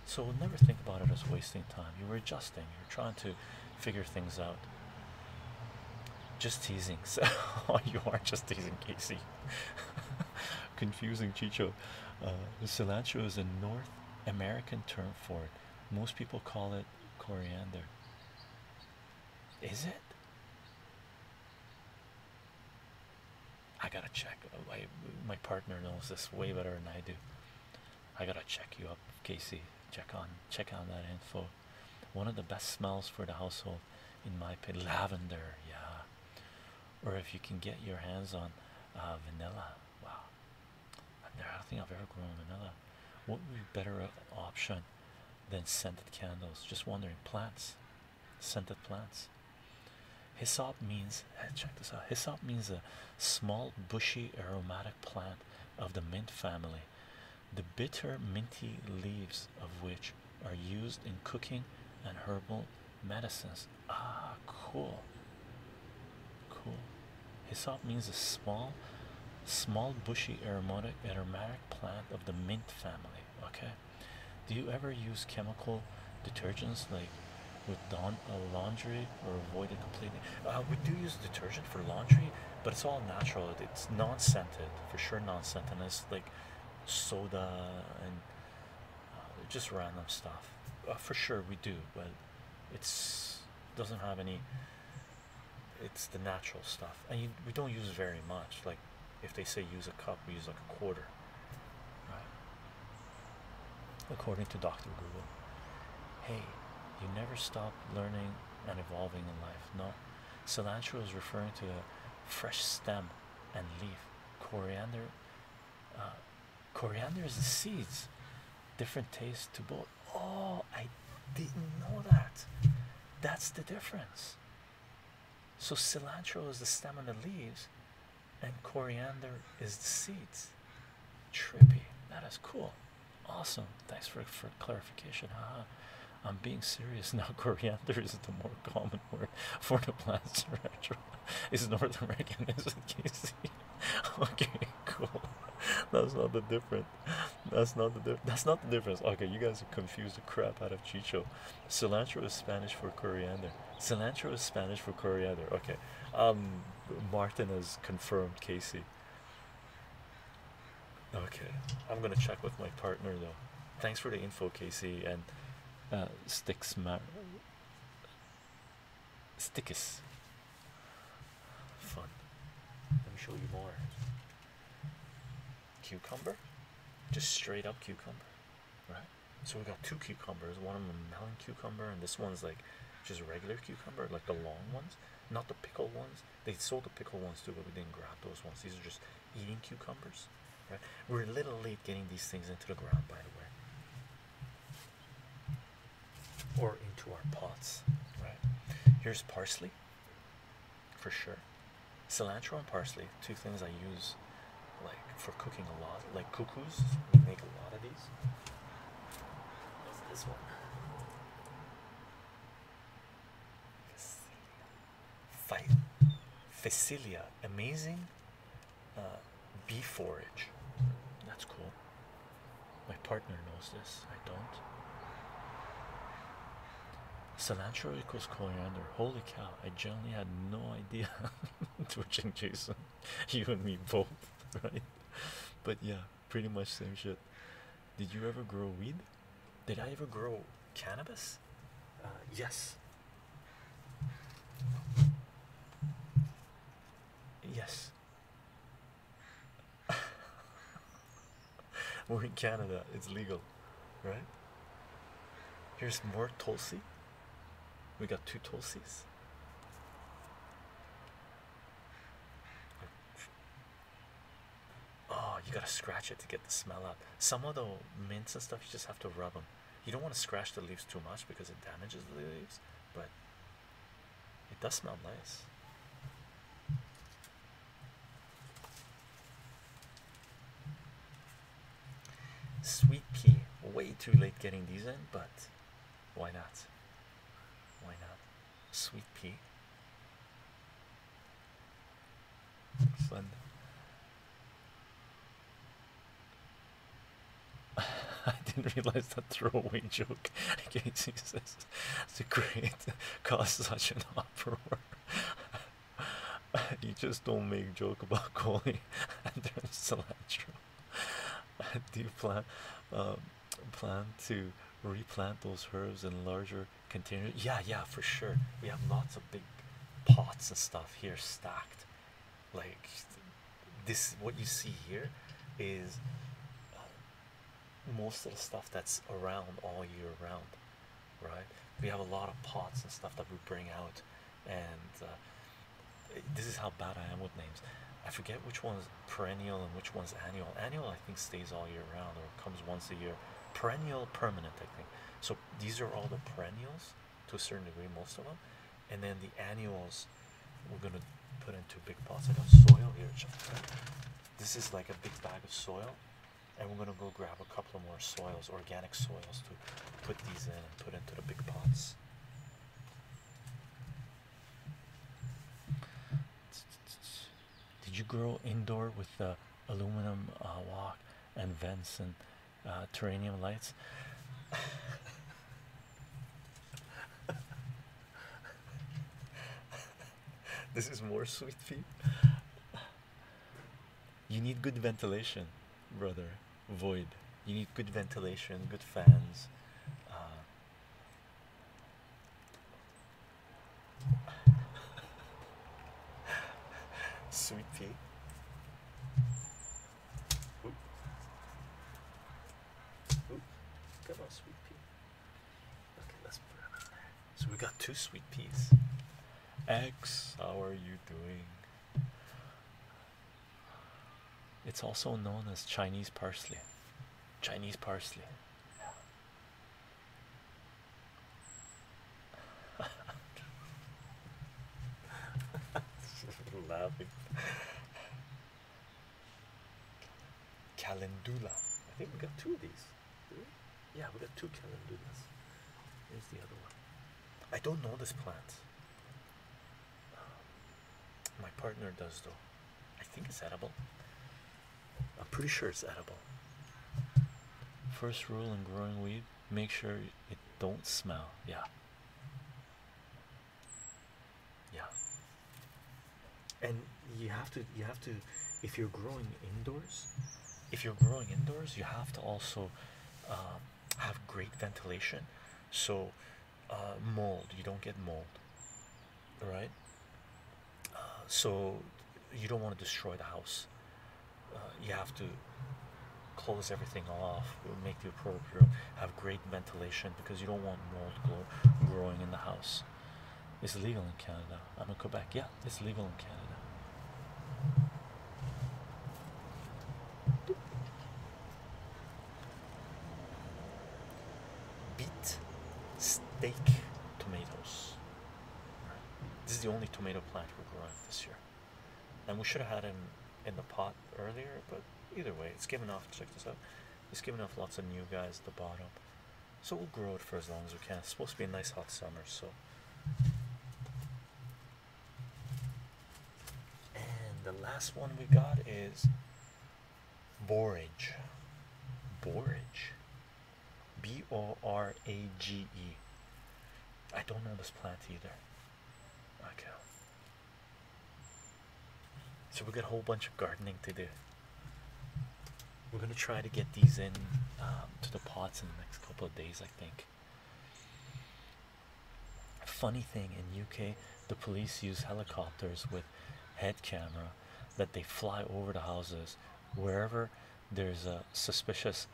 So never think about it as wasting time. You were adjusting, you're trying to figure things out. Just teasing. So you are just teasing, Casey. Confusing, Chicho. Uh, cilantro is a North American term for it. Most people call it coriander. Is it? I gotta check. Uh, my partner knows this way better than I do. I gotta check you up, Casey. Check on, check on that info. One of the best smells for the household, in my opinion, lavender. Yeah, or if you can get your hands on uh, vanilla. Wow, I don't think I've ever grown vanilla. What would be better uh, option than scented candles? Just wondering. Plants, scented plants. Hyssop means. Eh, check this out. Hyssop means a small bushy aromatic plant of the mint family the bitter minty leaves of which are used in cooking and herbal medicines ah cool cool hyssop means a small small bushy aromatic aromatic plant of the mint family okay do you ever use chemical detergents like with don uh, laundry or avoid it completely. Uh, we do use detergent for laundry, but it's all natural. It's non-scented, for sure non-scented. It's like soda and uh, just random stuff. Uh, for sure we do, but it's doesn't have any. It's the natural stuff, and we don't use very much. Like if they say use a cup, we use like a quarter according to Dr. Google. Hey, you never stop learning and evolving in life. No, cilantro is referring to a fresh stem and leaf. Coriander, uh, coriander is the seeds. Different taste to both. Oh, I didn't know that. That's the difference. So cilantro is the stem and the leaves, and coriander is the seeds trippy that is cool awesome thanks for for clarification i'm being serious now coriander is a more common word for the plants is north american isn't KC. okay cool that's not the difference that's not the difference that's not the difference okay you guys are confused the crap out of chicho cilantro is spanish for coriander cilantro is spanish for coriander okay um Martin has confirmed Casey. Okay, I'm gonna check with my partner though. Thanks for the info, Casey, and uh, sticks mar stickus. Fun. Let me show you more. Cucumber, just straight up cucumber, right? So we got two cucumbers. One of them a melon cucumber, and this one's like just regular cucumber, like the long ones, not the pickle ones. They sold the pickle ones too, but we didn't grab those ones. These are just eating cucumbers. Right? We're a little late getting these things into the ground, by the way, or into our pots. Right? Here's parsley, for sure. Cilantro and parsley, two things I use like for cooking a lot. Like cuckoos, we make a lot of these. What's this one? Phacelia. Phacelia. Amazing uh, forage. That's cool. My partner knows this. I don't. Cilantro equals coriander. Holy cow, I genuinely had no idea. Twitching Jason, you and me both, right? But yeah, pretty much same shit. Did you ever grow weed? Did I ever grow cannabis? Uh, yes. Yes. we in Canada, it's legal, right? Here's more Tulsi. We got two Tulsis. Oh, you gotta scratch it to get the smell out. Some of the mints and stuff, you just have to rub them. You don't want to scratch the leaves too much because it damages the leaves, but it does smell nice. Sweet pea, way too late getting these in, but why not? Why not? Sweet pea. Fun. I didn't realize that throwaway joke. Okay, Jesus, to create cause such an uproar. you just don't make joke about calling and Andrew cilantro. I do plan um, plan to replant those herbs in larger containers. Yeah, yeah, for sure. We have lots of big pots and stuff here stacked. Like this, what you see here is uh, most of the stuff that's around all year round, right? We have a lot of pots and stuff that we bring out, and uh, this is how bad I am with names. I forget which ones perennial and which one's annual. Annual, I think, stays all year round or comes once a year. Perennial, permanent, I think. So these are all the perennials to a certain degree, most of them. And then the annuals we're going to put into big pots. I got soil here. This is like a big bag of soil. And we're going to go grab a couple more soils, organic soils, to put these in and put into the big pots. Did you grow indoor with the aluminum uh, walk and vents and uh, lights? this is more sweet feet. You need good ventilation, brother. Void. You need good ventilation, good fans. Uh, Sweet tea. Oop. Oop. Come on, sweet pea. Okay, let's put them there. So we got two sweet peas. X, how are you doing? It's also known as Chinese parsley. Chinese parsley. laughing. Calendula. I think we got two of these. Yeah, we got two calendulas. Here's the other one. I don't know this plant. Um, my partner does though. I think it's edible. I'm pretty sure it's edible. First rule in growing weed, make sure it don't smell. Yeah. Yeah. And you have to you have to if you're growing indoors, if you're growing indoors, you have to also um, have great ventilation. So uh, mold you don't get mold right uh, so you don't want to destroy the house uh, you have to close everything off make the appropriate have great ventilation because you don't want mold growing in the house it's legal in Canada I'm in Quebec yeah it's legal in Canada beet steak tomatoes. This is the only tomato plant we're growing this year. And we should have had him in the pot earlier, but either way, it's giving off. Check this out. It's giving off lots of new guys at the bottom. So we'll grow it for as long as we can. It's supposed to be a nice hot summer, so. And the last one we got is borage borage b-o-r-a-g-e i don't know this plant either okay so we got a whole bunch of gardening to do we're gonna try to get these in um, to the pots in the next couple of days i think funny thing in uk the police use helicopters with head camera that they fly over the houses wherever there's a suspicious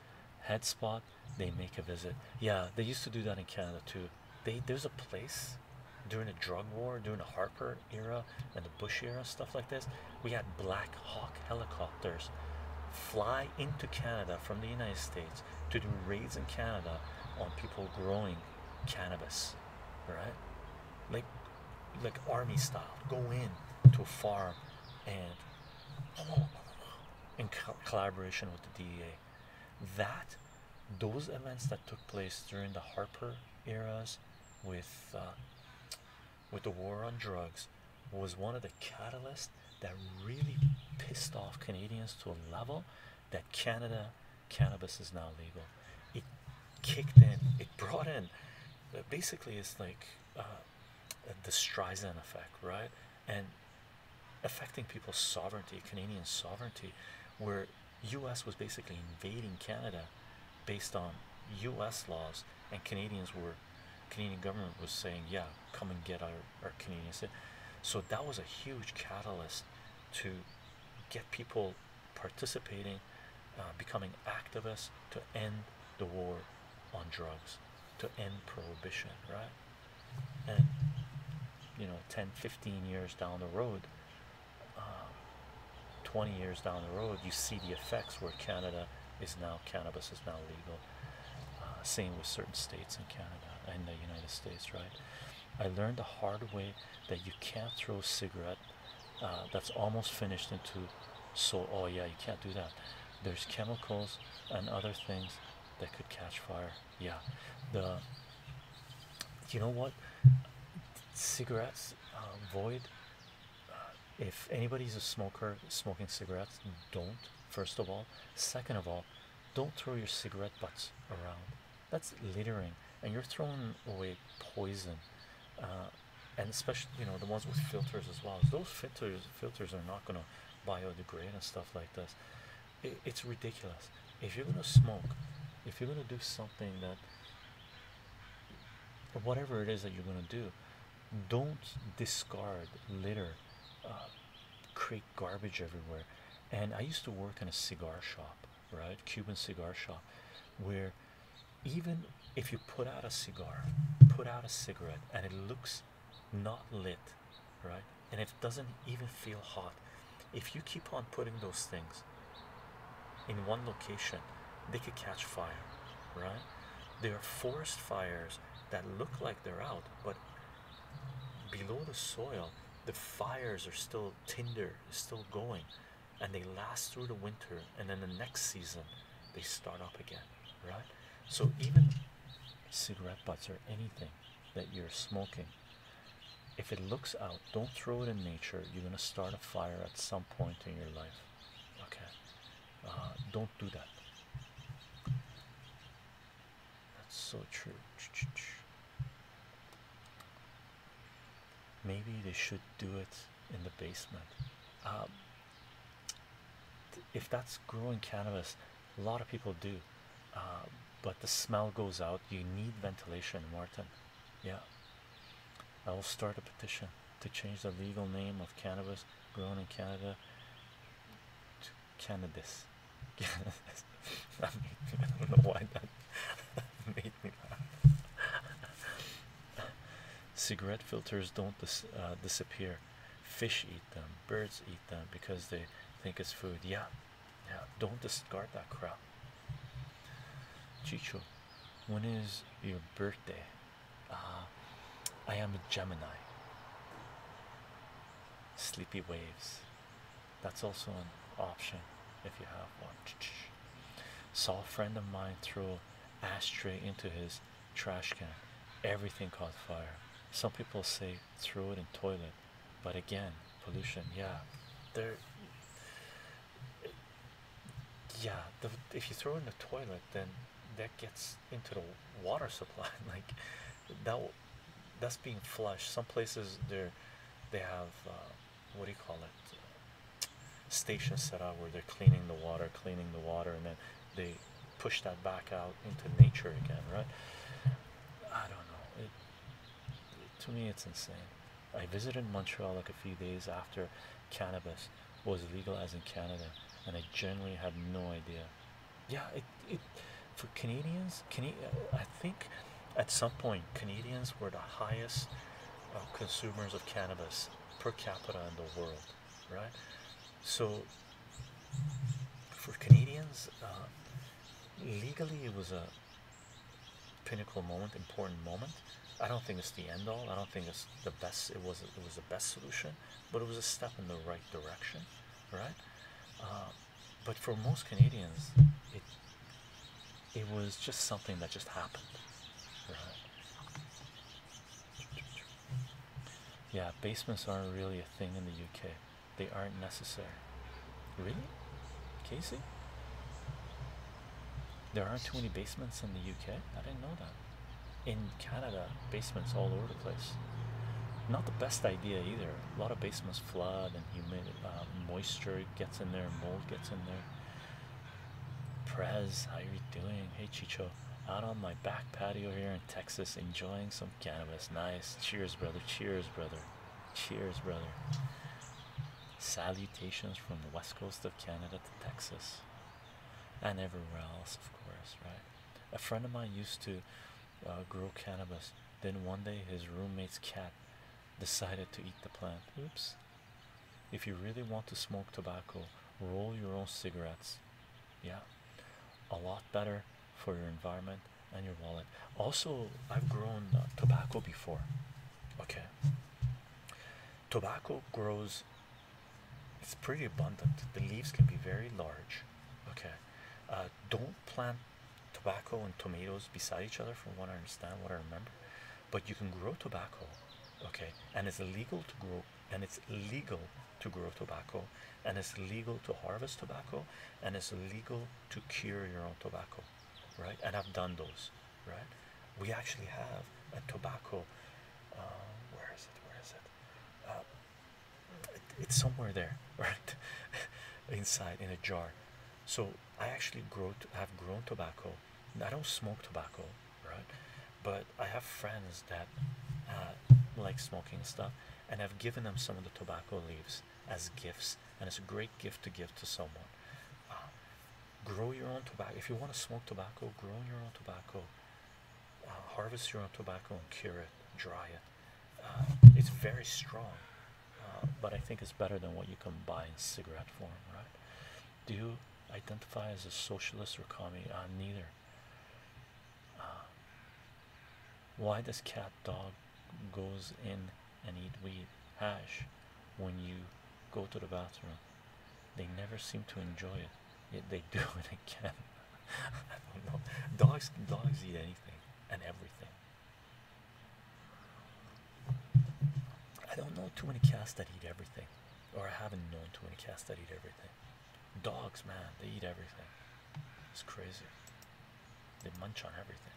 head spot they make a visit yeah they used to do that in canada too they there's a place during the drug war during the harper era and the bush era stuff like this we had black hawk helicopters fly into canada from the united states to do raids in canada on people growing cannabis right like like army style go in to a farm and in collaboration with the DEA that those events that took place during the Harper eras with uh, with the war on drugs was one of the catalysts that really pissed off Canadians to a level that Canada cannabis is now legal. It kicked in, it brought in uh, basically, it's like uh, the Streisand effect, right? And affecting people's sovereignty, Canadian sovereignty, where US was basically invading Canada based on US laws, and Canadians were. Canadian government was saying, "Yeah, come and get our our Canadian." So that was a huge catalyst to get people participating, uh, becoming activists to end the war on drugs, to end prohibition, right? And you know, 10, 15 years down the road, um, 20 years down the road, you see the effects where Canada is now, cannabis is now legal. Uh, same with certain states in Canada and the United States, right? I learned the hard way that you can't throw cigarettes uh, that's almost finished into so oh yeah you can't do that there's chemicals and other things that could catch fire yeah the you know what cigarettes uh, void uh, if anybody's a smoker smoking cigarettes don't first of all second of all don't throw your cigarette butts around that's littering and you're throwing away poison uh, and especially you know the ones with filters as well those filters filters are not going to biodegrade and stuff like this it's ridiculous if you're going to smoke if you're going to do something that whatever it is that you're going to do don't discard litter uh, create garbage everywhere and i used to work in a cigar shop right? Cuban cigar shop, where even if you put out a cigar, put out a cigarette, and it looks not lit, right? And it doesn't even feel hot. If you keep on putting those things in one location, they could catch fire, right? There are forest fires that look like they're out, but below the soil, the fires are still tinder, is still going and they last through the winter and then the next season they start up again right so even cigarette butts or anything that you're smoking if it looks out don't throw it in nature you're going to start a fire at some point in your life okay uh, don't do that that's so true maybe they should do it in the basement. Um, if that's growing cannabis, a lot of people do, um, but the smell goes out. You need ventilation, Martin. Yeah, I will start a petition to change the legal name of cannabis grown in Canada to cannabis. I, I don't know why me laugh. Cigarette filters don't dis uh, disappear. Fish eat them. Birds eat them because they think it's food. Yeah, yeah. Don't discard that crap. Chicho, when is your birthday? Uh, I am a Gemini. Sleepy waves. That's also an option if you have one. Saw a friend of mine throw ashtray into his trash can. Everything caught fire. Some people say throw it in toilet, but again, pollution. Yeah, there. Yeah, if you throw in the toilet, then that gets into the water supply. like that, that's being flushed. Some places there, they have. Uh, what do you call it? Station set up where they're cleaning the water, cleaning the water, and then they push that back out into nature again, right? I don't know. to me, it's insane. I visited Montreal like a few days after cannabis was legalized in Canada, and I generally had no idea. Yeah, it, for Canadians, Can I think at some point Canadians were the highest consumers of cannabis per capita in the world, right? So for Canadians, uh, legally it was a pinnacle moment, important moment. I don't think it's the end all. I don't think it's the best. It was it was the best solution, but it was a step in the right direction, right? Uh, but for most Canadians, it it was just something that just happened. Yeah, basements aren't really a thing in the UK. They aren't necessary. Really? Casey? There aren't too many basements in the UK? I didn't know that. In Canada, basements all over the place. Not the best idea either. A lot of basements flood and humidity, uh, moisture gets in there, mold gets in there. Prez, how you doing? Hey Chicho, out on my back patio here in Texas, enjoying some cannabis. Nice. Cheers, brother. Cheers, brother. Cheers, brother. Salutations from the west coast of Canada to Texas and everywhere else, of course, right? A friend of mine used to uh, grow cannabis. Then one day, his roommate's cat decided to eat the plant. Oops. If you really want to smoke tobacco, roll your own cigarettes. Yeah, a lot better for your environment and your wallet. Also, I've grown uh, tobacco before. Okay, tobacco grows, it's pretty abundant. The leaves can be very large. Okay, uh, don't plant tobacco and tomatoes beside each other, from what I understand, what I remember but you can grow tobacco okay and it's legal to grow and it's legal to grow tobacco and it's legal to harvest tobacco and it's legal to cure your own tobacco right and i've done those right we actually have a tobacco uh, where is it where is it uh, it's somewhere there right inside in a jar so i actually grow to, have grown tobacco I don't smoke tobacco, right? But I have friends that uh, like smoking stuff, and I've given them some of the tobacco leaves as gifts, and it's a great gift to give to someone. Uh, grow your own tobacco. If you want to smoke tobacco, grow your own tobacco. Uh, harvest your own tobacco and cure it, dry it. it's very strong, but I think it's better than what you can buy in cigarette form, right? Do you identify as a socialist or communist. Uh, neither. Uh, why does cat dog goes in and eat weed hash when you go to the bathroom? They never seem to enjoy it. Yet they do it again. I don't know. Dogs dogs eat anything and everything. I don't know too many cats that eat everything, or I haven't known too many cats that eat everything. Dogs, man, they eat everything. It's crazy. They munch on everything.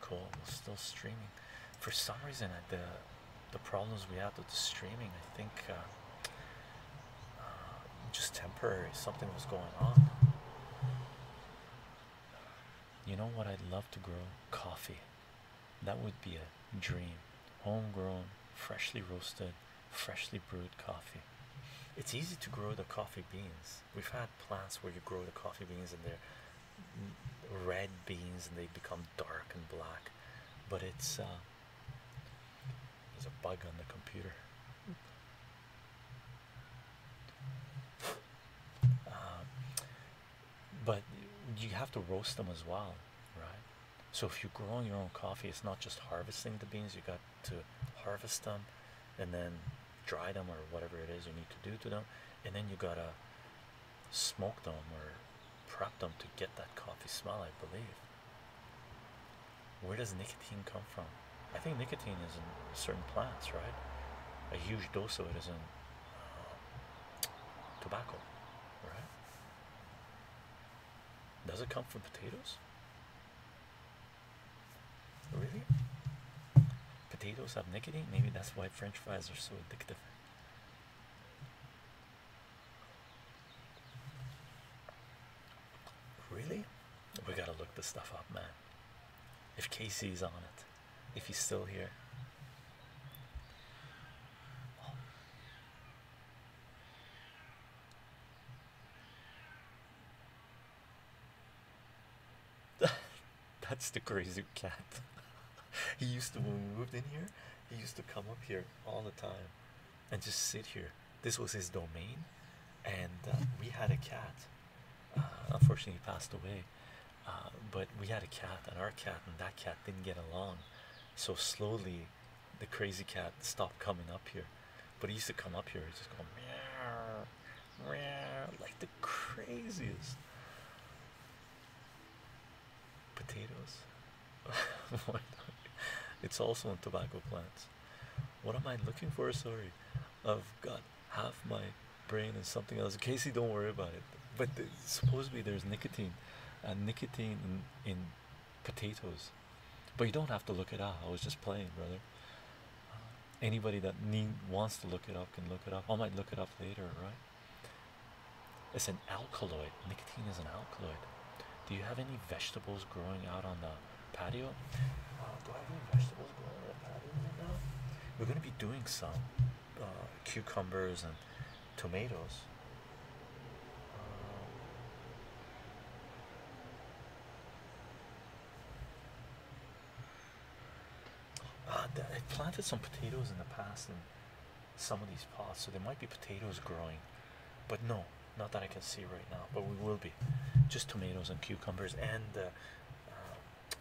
Cool. We're still streaming. For some reason, the the problems we had with the streaming, I think, uh, uh, just temporary. Something was going on. You know what I'd love to grow? Coffee. That would be a dream. Homegrown, freshly roasted, freshly brewed coffee. It's easy to grow the coffee beans. We've had plants where you grow the coffee beans and they're red beans and they become dark and black. But it's uh, there's a bug on the computer. Uh, but you have to roast them as well, right? So if you grow growing your own coffee, it's not just harvesting the beans. You got to harvest them, and then dry them or whatever it is you need to do to them, and then you gotta smoke them or prep them to get that coffee smell. I believe. Where does nicotine come from? I think nicotine is in certain plants, right? A huge dose of it is in tobacco, right? Does it come from potatoes? Really? Potatoes have nicotine? Maybe that's why French fries are so addictive. Really? We gotta look this stuff up, man. If Casey's on it if he's still here. That's the crazy cat. he used to when we moved in here, he used to come up here all the time and just sit here. This was his domain, and uh, we had a cat. Uh, unfortunately, he passed away. Uh, but we had a cat and our cat and that cat didn't get along so slowly the crazy cat stopped coming up here but he used to come up here He's just going meow, meow, like the craziest potatoes it's also in tobacco plants what am i looking for sorry i've got half my brain is something else. Casey, don't worry about it. But supposedly there's nicotine, and nicotine in, in potatoes, but you don't have to look it up. I was just playing, brother. Uh, anybody that need wants to look it up can look it up. I might look it up later, right? It's an alkaloid. Nicotine is an alkaloid. Do you have any vegetables growing out on the patio? Uh, We're gonna be doing some. Uh, cucumbers and tomatoes. Um, uh, I planted some potatoes in the past in some of these pots, so there might be potatoes growing, but no, not that I can see right now. But we will be just tomatoes and cucumbers and uh,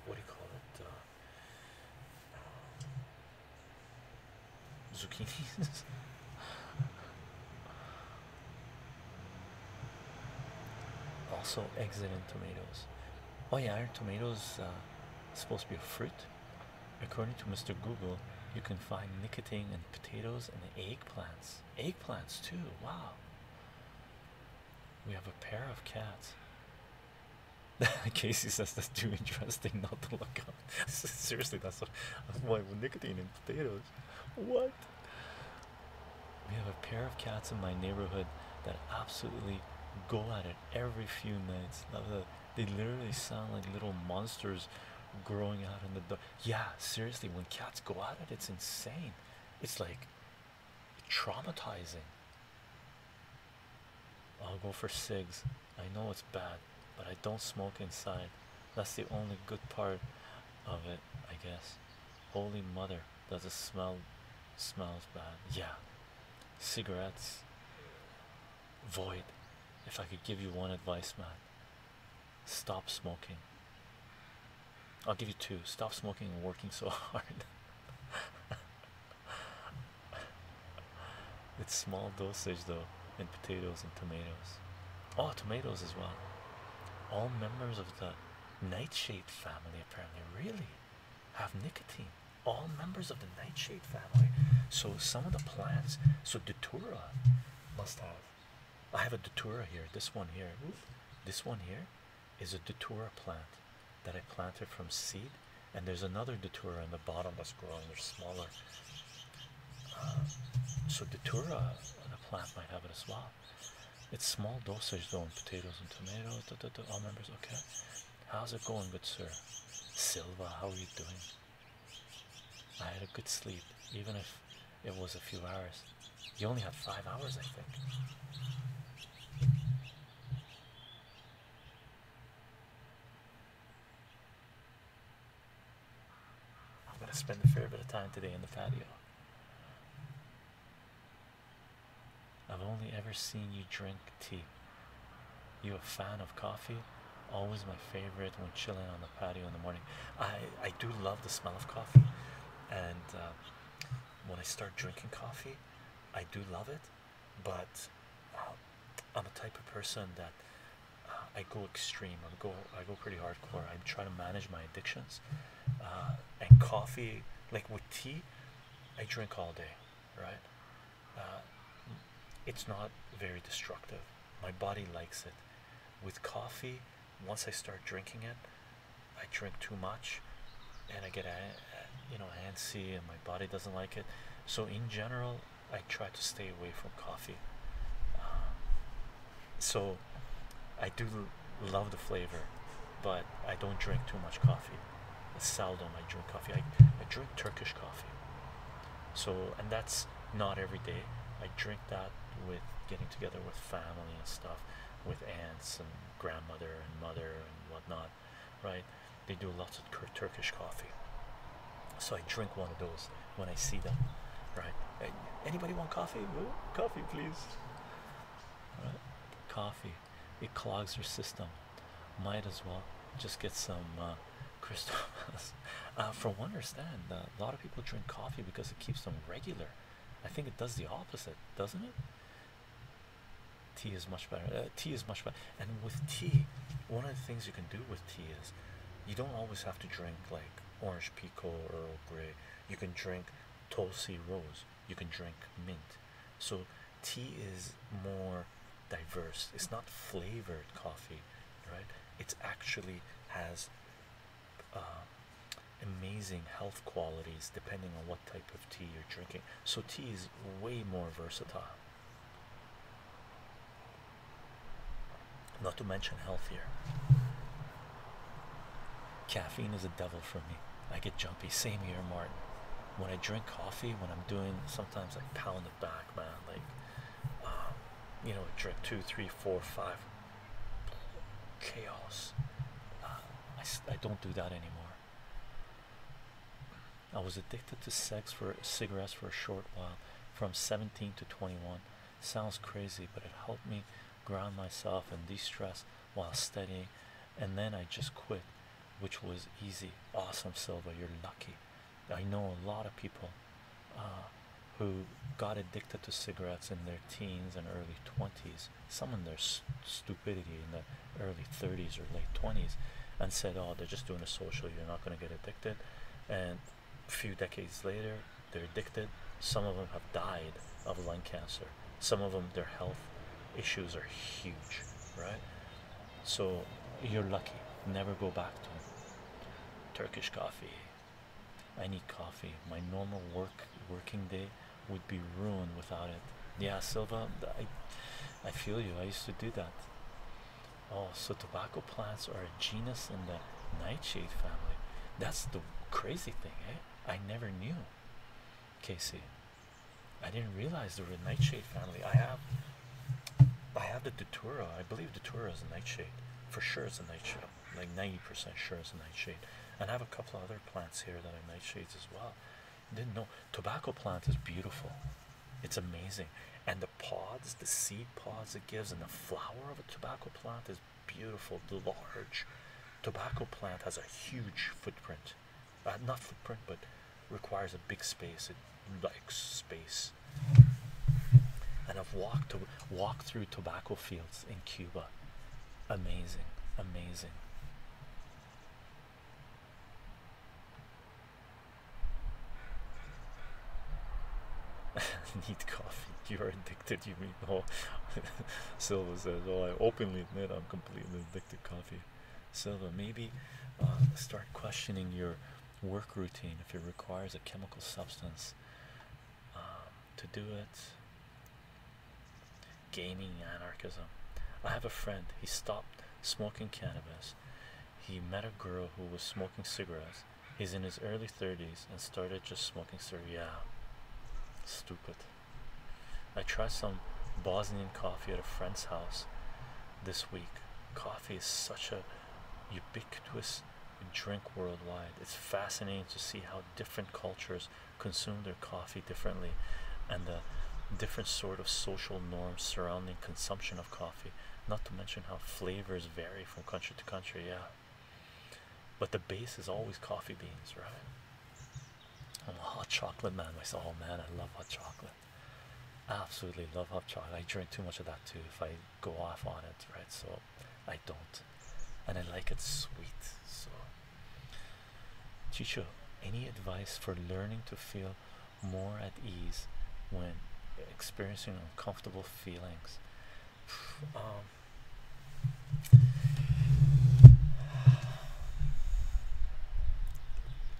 what do you call it? Zucchinis. also, excellent in tomatoes. Oh yeah, tomatoes uh, supposed to be a fruit? According to Mr. Google, you can find nicotine in potatoes and eggplants. Eggplants too. Wow. We have a pair of cats. Casey says that's too interesting not to look up. Seriously, that's why with nicotine and potatoes. What? We have a pair of cats in my neighborhood that absolutely go at it every few nights. They literally sound like little monsters growing out in the dark. Yeah, seriously, when cats go at it, it's insane. It's like traumatizing. I'll go for cigs. I know it's bad, but I don't smoke inside. That's the only good part of it, I guess. Holy mother, does it smell smells bad? Yeah. Cigarettes void. If I could give you one advice, man, stop smoking. I'll give you two. Stop smoking and working so hard it's small dosage though in potatoes and tomatoes oh tomatoes as well all members of the nightshade family apparently really have nicotine all members of the nightshade family so some of the plants so datura must have i have a datura here this one here this one here is a datura plant that I planted from seed, and there's another detour in the bottom that's growing. They're smaller. Uh, so datura, uh, the plant might have it as well. It's small dosage though in potatoes and tomatoes. Da, da, all members, okay. How's it going, good sir? Silva, how are you doing? I had a good sleep, even if it was a few hours. You only had five hours, I think. I'm going to spend a fair bit of time today in the patio. I've only ever seen you drink tea. You a fan of coffee? Always my favorite when chilling on the patio in the morning. I, I do love the smell of coffee. And uh, when I start drinking coffee, I do love it but um, I'm a type of person that uh, I go extreme. I go I go pretty hardcore. I try to manage my addictions. Uh, and coffee, like with tea, I drink all day, right? Uh, it's not very destructive. My body likes it. With coffee, once I start drinking it, I drink too much, and I get you know antsy and my body doesn't like it so in general I try to stay away from coffee um, so I do love the flavor but I don't drink too much coffee it's seldom I drink coffee I, I drink Turkish coffee so and that's not every day I drink that with getting together with family and stuff with aunts and grandmother and mother and whatnot right? They do lots of Turkish coffee, so I drink one of those when I see them, right? anybody want coffee? Ooh, coffee, please. Right? Coffee, it clogs your system. Might as well just get some uh, Christophas. Uh, from what I understand, uh, a lot of people drink coffee because it keeps them regular. I think it does the opposite, doesn't it? tea is much better uh, tea is much better and with tea one of the things you can do with tea is you don't always have to drink like orange pekoe or Earl Grey you can drink tulsi rose you can drink mint so tea is more diverse it's not flavored coffee right it actually has uh, amazing health qualities depending on what type of tea you're drinking so tea is way more versatile not to mention healthier. Caffeine is a devil for me. I get jumpy. Same here, Martin. When I drink coffee, when I'm doing, sometimes I pound it back, man. Like, um, you know, drink two, three, four, five. Chaos. Uh, I don't do that anymore. I was addicted to sex for cigarettes for a short while from 17 to 21. Sounds crazy, but it helped me ground myself and de stress while studying. And then I just quit, which was easy. Awesome, Silva. You're lucky. I know a lot of people uh, who got addicted to cigarettes in their teens and early 20s. Some in their stupidity, and their early 30s or late 20s and said, Oh, they're just doing a social, you're not going to get addicted. And a few decades later, they're addicted. Some of them have died of lung cancer, some of them, their health issues are huge, right? So you're lucky, never go back to Turkish coffee. I need coffee. My normal work working day would be ruined without it. Yeah, Silva, I feel you. I used to do that. Oh, so tobacco plants are a genus in the nightshade family. That's the crazy thing, eh? I never knew, Casey. I didn't realize there were a nightshade family. I have, I have the datura. I believe datura is a nightshade. For sure, it's a nightshade. Like ninety percent sure it's a nightshade. And I have a couple other plants here that are nightshades as well. Didn't know tobacco plant is beautiful. It's amazing, and the pods, the seed pods it gives, and the flower of a tobacco plant is beautiful. large tobacco plant has a huge footprint, uh, not footprint, but requires a big space. It likes space. And I've walked to walked through tobacco fields in Cuba. Amazing, amazing. Need coffee. You are addicted, you mean? Oh, Silva says, Oh, I openly admit I'm completely addicted to coffee. Silva, maybe uh, start questioning your work routine if it requires a chemical substance um, to do it. Gaining anarchism. I have a friend, he stopped smoking cannabis he met a girl who was smoking cigarettes. He's in his early 30s and started just smoking cigarettes. Stupid. I tried some Bosnian coffee at a friend's house this week. Coffee is such a ubiquitous drink worldwide. It's fascinating to see how different cultures consume their coffee differently and the different sort of social norms surrounding consumption coffee, not to mention how flavors vary from country to country. Yeah, but the base is always coffee beans, right? i hot chocolate man myself. Oh man, I love hot chocolate. Absolutely love hot chocolate. I drink too much of that too if I go off on it, right? So I don't, and I like it sweet. So, Chicho, any advice for learning to feel more at ease when experiencing uncomfortable feelings.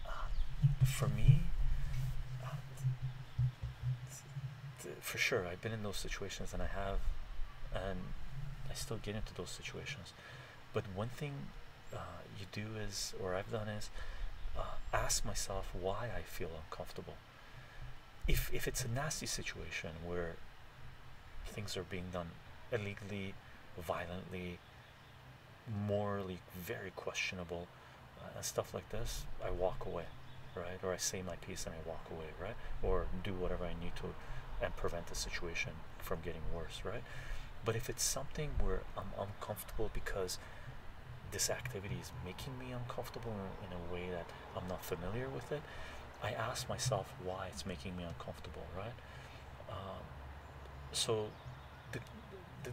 Um, for me, for sure, I've been in those situations and I have, and I still get into those situations. But one thing uh, you do is, or I've done is, uh, ask myself why I feel uncomfortable. If if it's a nasty situation where things are being done illegally, violently, morally very questionable, uh, and stuff like this, I walk away, right? Or I say my piece and I walk away, right? Or do whatever I need to and prevent the situation from getting worse, right? But if it's something where I'm uncomfortable because this activity is making me uncomfortable in, a way that I'm not familiar with it. I ask myself why it's making me uncomfortable, right? Um, so the, the,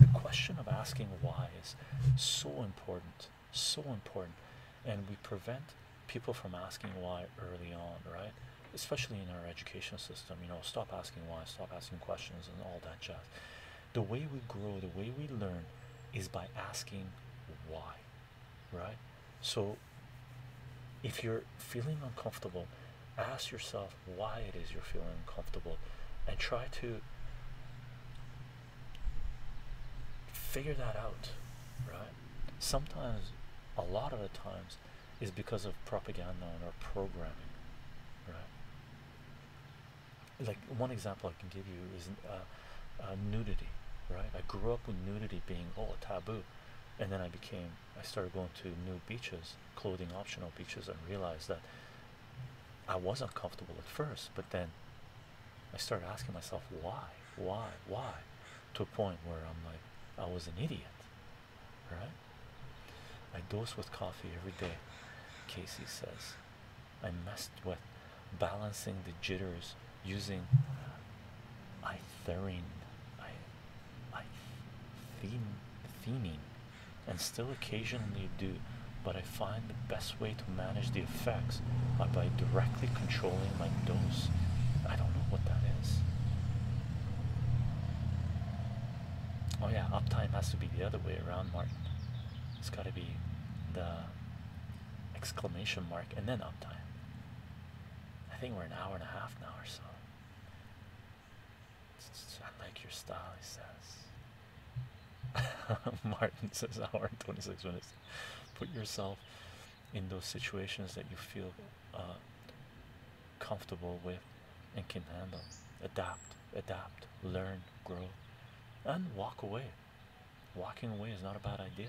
the question of asking why is so important, so important, and we prevent people from asking why early on, right? Especially in our education system, you know, stop asking why, stop asking questions, and all that jazz. The way we grow, the way we learn is by asking why, right? So if you're feeling uncomfortable, ask yourself why it is you're feeling uncomfortable and try to figure that out, right? Sometimes, a lot of the times, is because of propaganda and our programming, right? like one example I can give you is uh, uh, nudity, right? I grew up with nudity being oh taboo, and then I became I started going to new beaches, clothing optional beaches, and realized that I was uncomfortable at first, but then I started asking myself why, why, why, to a point where I'm like I was an idiot, I dose with coffee every day, Casey says. I mess with balancing the jitters using itherine, I, I, thening, and still occasionally do, but I find the best way to manage the effects are by directly controlling my dose. I don't know what that is. Oh yeah, uptime has to be the other way around, Martin. It's got to be the exclamation mark and then uptime. I think we're an hour and a half now or so. I like your style, he says. Martin says hour and 26 minutes. Put yourself in those situations that you feel uh, comfortable with and can handle. Adapt, adapt, learn, grow, and walk away. Walking away is not a bad idea.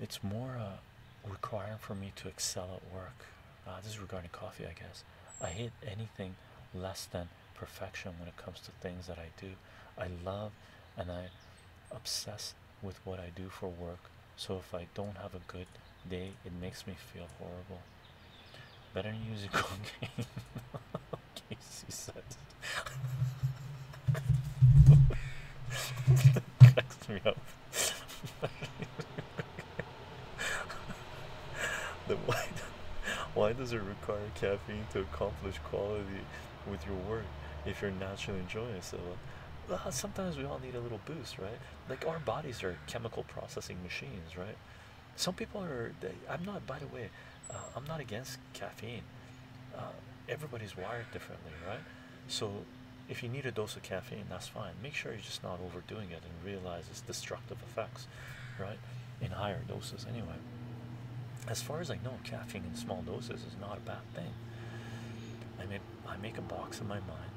It's more uh, requiring for me to excel at work. Uh, this is regarding coffee, I guess. I hate anything less than perfection when it comes to things that I do. I love and I obsess with what I do for work. So if I don't have a good day it makes me feel horrible better use a cocaine Casey said cracks me up why, does it require caffeine to accomplish quality with your work if you're naturally enjoying it? well, sometimes we all need a little boost right like our bodies are chemical processing machines right some people are. They, I'm not. By the way, uh, I'm not against caffeine. Uh, everybody's wired differently, right? So, if you need a dose of caffeine, that's fine. Make sure you're just not overdoing it and realize its destructive effects, right? In higher doses, anyway. As far as I know, caffeine in small doses is not a bad thing. I mean, I make a box in my mind,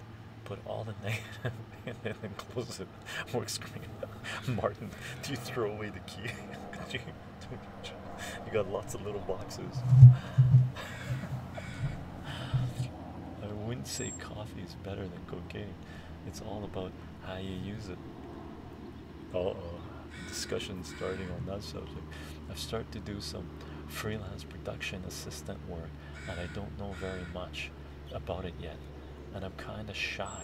put all the negative, and then close it more screaming, Martin, do you throw away the key? you, got lots of little boxes. I wouldn't say coffee is better than cocaine. It's all about how you use it. Uh oh, discussion starting on that subject. I've started to do some freelance production assistant work and I don't know very much about it yet, and I'm kind of shy.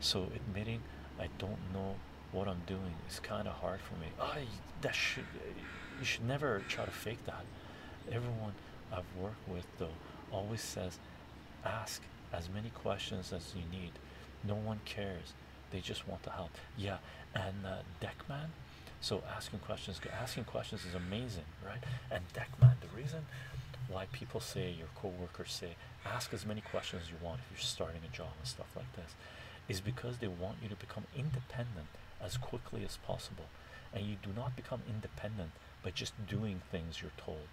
So admitting I don't know what I'm doing is kind of hard for me. I that should you should never try to fake that. Everyone I've worked with though always says, ask as many questions as you need. No one cares. They just want to help. Yeah, and uh, Deckman. So asking questions, asking questions is amazing, right? And and man the reason why people say your co-workers say ask as many questions you want if you're starting a job and stuff like this is because they want you to become independent as quickly as possible and you do not become independent by just doing things you're told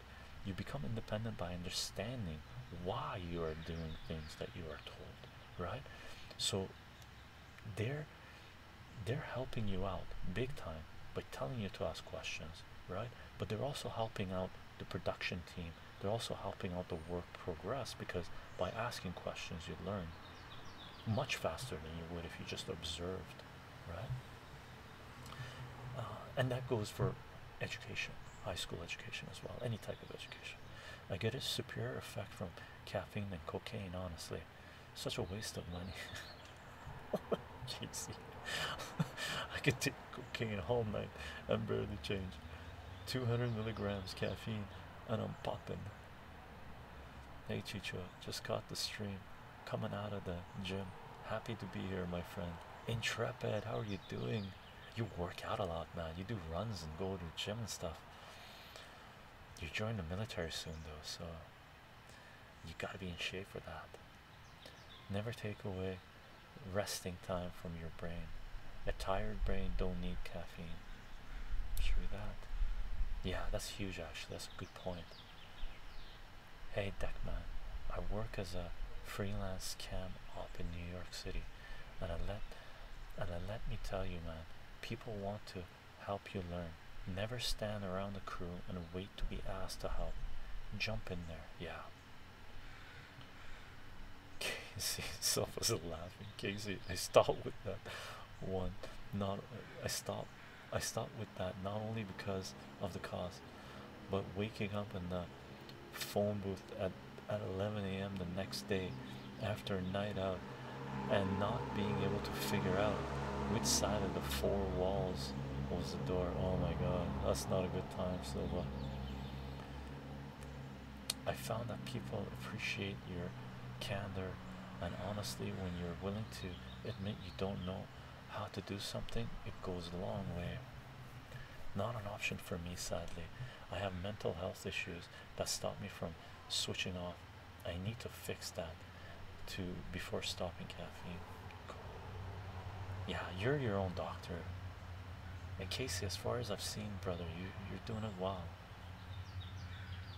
you become independent by understanding why you are doing things that you are told right so they're they're helping you out big time by telling you to ask questions right? But they're also helping out the production team. They're also helping out the work progress because by asking questions, you learn much faster than you would if you just observed, right? Uh, and that goes for education, high school education as well, any type of education. I get a superior effect from caffeine than cocaine, honestly. Such a waste of money. JC. I could take cocaine all night and barely change. 200 milligrams caffeine and I'm popping. Hey Chicho, just caught the stream. Coming out of the gym. Happy to be here, my friend. Intrepid, how are you doing? You work out a lot, man. You do runs and go to the gym and stuff. You join the military soon, though, so you gotta be in shape for that. Never take away resting time from your brain. A tired brain don't need caffeine. True that. Yeah, that's huge actually. That's a good point. Hey Deckman, I work as a freelance cam up in New York City and I let and I let me tell you man, people want to help you learn. Never stand around the crew and wait to be asked to help. Jump in there, yeah. Casey himself was laughing. Casey, I stopped with that one. Not I stopped. I stopped with that not only because of the cost, but waking up in the phone booth at at 11 a.m. the next day after a night out and not being able to figure out which side of the four walls close. the door. Oh my god, that's not a good time, Silva. I found that people appreciate your candor and honestly when you're willing to admit you don't know how to do something, it goes a long way. Not an option for me, sadly. I have mental health issues that stop me from switching off. I need to fix that to before stopping caffeine. Yeah, you're your own doctor. And Casey, as far as I've seen, brother, you you're doing it well.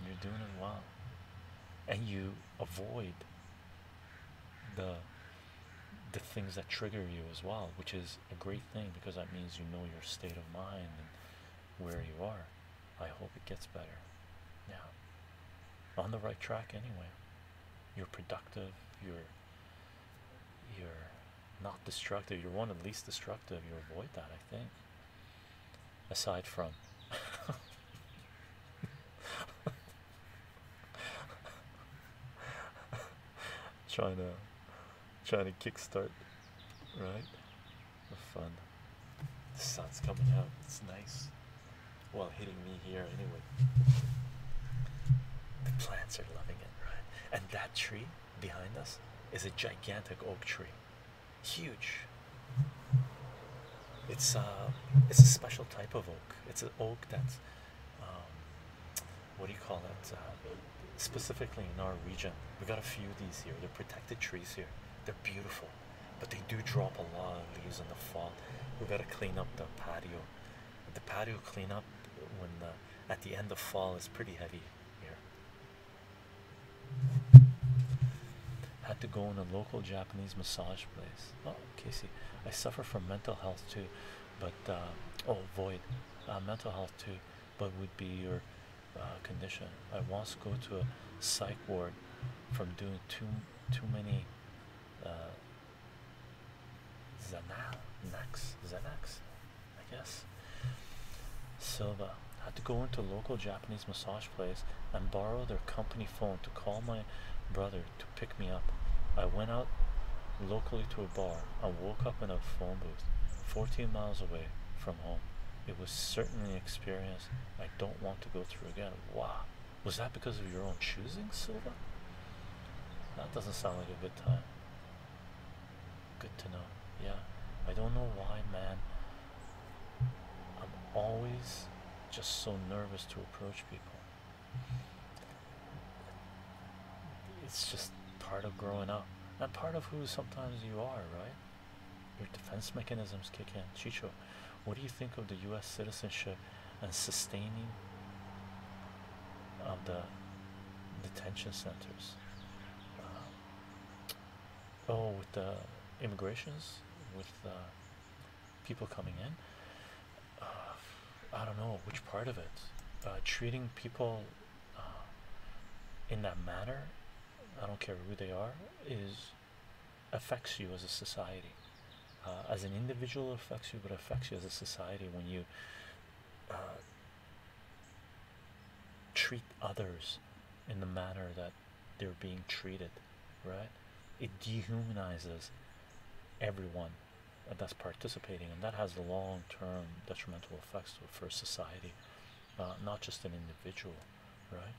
You're doing it well. And you avoid the the things that trigger you as well, which is a great thing because that means you know your state of mind and where you are. I hope it gets better. Yeah. On the right track anyway. You're productive. You're you're not destructive. You're one of least destructive. You avoid that, I think. Aside from. trying to trying to kickstart right the fun the sun's coming out it's nice well, hitting me here anyway. The plants are loving it, right? And that tree behind us is a gigantic oak tree, huge. It's uh, it's a special type of oak. It's an oak that's um, what do you call it? Uh, specifically in our region, we got a few of these here. They're protected trees here. They're beautiful, but they do drop a lot of leaves in the fall. We gotta clean up the patio the patio cleanup when at the end of fall is pretty heavy here. Had to go in a local Japanese massage place. Oh, Casey, I suffer from mental health too, but uh, oh, void uh, mental health too, but would be your uh, condition. I once go to a psych ward from doing too too many. Uh, Zanal, Nax, Xanax, I guess. Silva had to go into local Japanese massage place and borrow their company phone to call my brother to pick me up. I went out locally to a bar and woke up in a phone booth 14 miles away from home. It was certainly an experience I don't want to go through again. Wow. Was that because of your own choosing, Silva? That doesn't sound like a good time. Good to know. Yeah. I don't know why, man. I'm always just so nervous to approach people. It's just part of growing up. And part of who sometimes you are, right? Your defense mechanisms kick in. Chicho, what do you think of the U.S. citizenship and sustaining of um, the detention centers? Um, oh, with the immigrations, with uh, people coming in. Uh, I don't know which part of it. Uh, treating people in that manner, I don't care who they are, is affects you as a society. Uh, as an individual affects you but affects you as a society when you uh, treat others in the manner that they're being treated right it dehumanizes everyone that's participating and that has long-term detrimental effects for society not just an individual right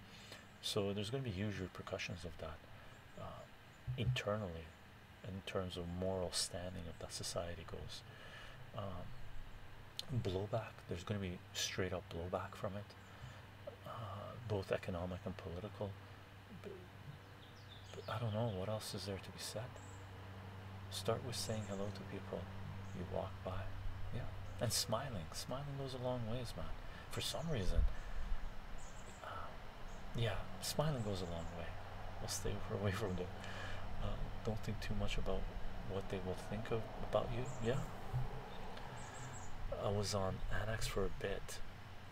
so there's going to be huge repercussions of that uh, internally in terms of moral standing of that society goes um, blowback there's going to be straight up blowback from it uh, both economic and political i don't know what else is there to be said start with saying hello to people you walk by yeah and smiling smiling goes a long way, ways man for some reason um, yeah, smiling goes a long way. We'll stay away from them. Um, don't think too much about what they will think of about you. Yeah, I was on Annex for a bit,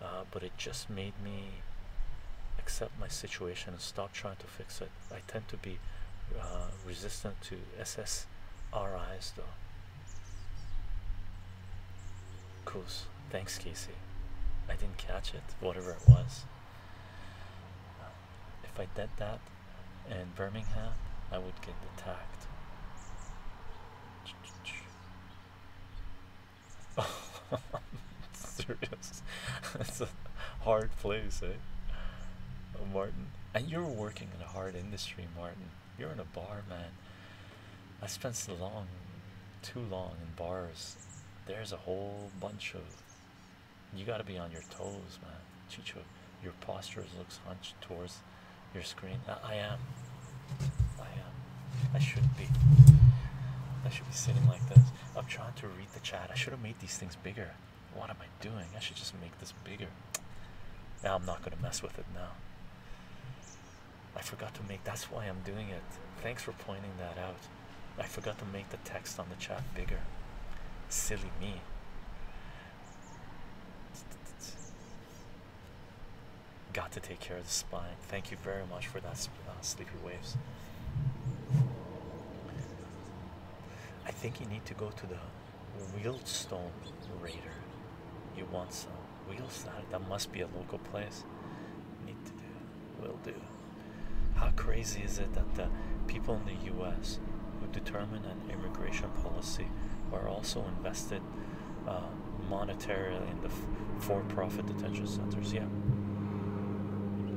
uh, but it just made me accept my situation and stop trying to fix it. I tend to be uh, resistant to SSRIs though. Coos. Thanks, Casey. I didn't catch it, whatever it was. Uh, if I did that in Birmingham, I would get attacked. Oh, serious. It's a hard place, eh? Uh, Martin. And you're working in a hard industry, Martin. You're in a bar, man. I spent too long in bars. There's a whole bunch of. You got to be on your toes, man. Chicho, your posture looks hunched towards your screen. I, I am. I am. I should be. I should be sitting like this. I'm trying to read the chat. I should have made these things bigger. What am I doing? I should just make this bigger. Now I'm not going to mess with it now. I forgot to make that's why I'm doing it. Thanks for pointing that out. I forgot to make the text on the chat bigger. Silly me. Got to take care of the spine. Thank you very much for that, uh, Sleepy Waves. I think you need to go to the Wheelstone Raider. You want some we Wheels not. That must be a local place. Need to do. Will do. How crazy is it that the people in the U.S. who determine an immigration policy are also invested uh, monetarily in the for-profit detention centers? Yeah.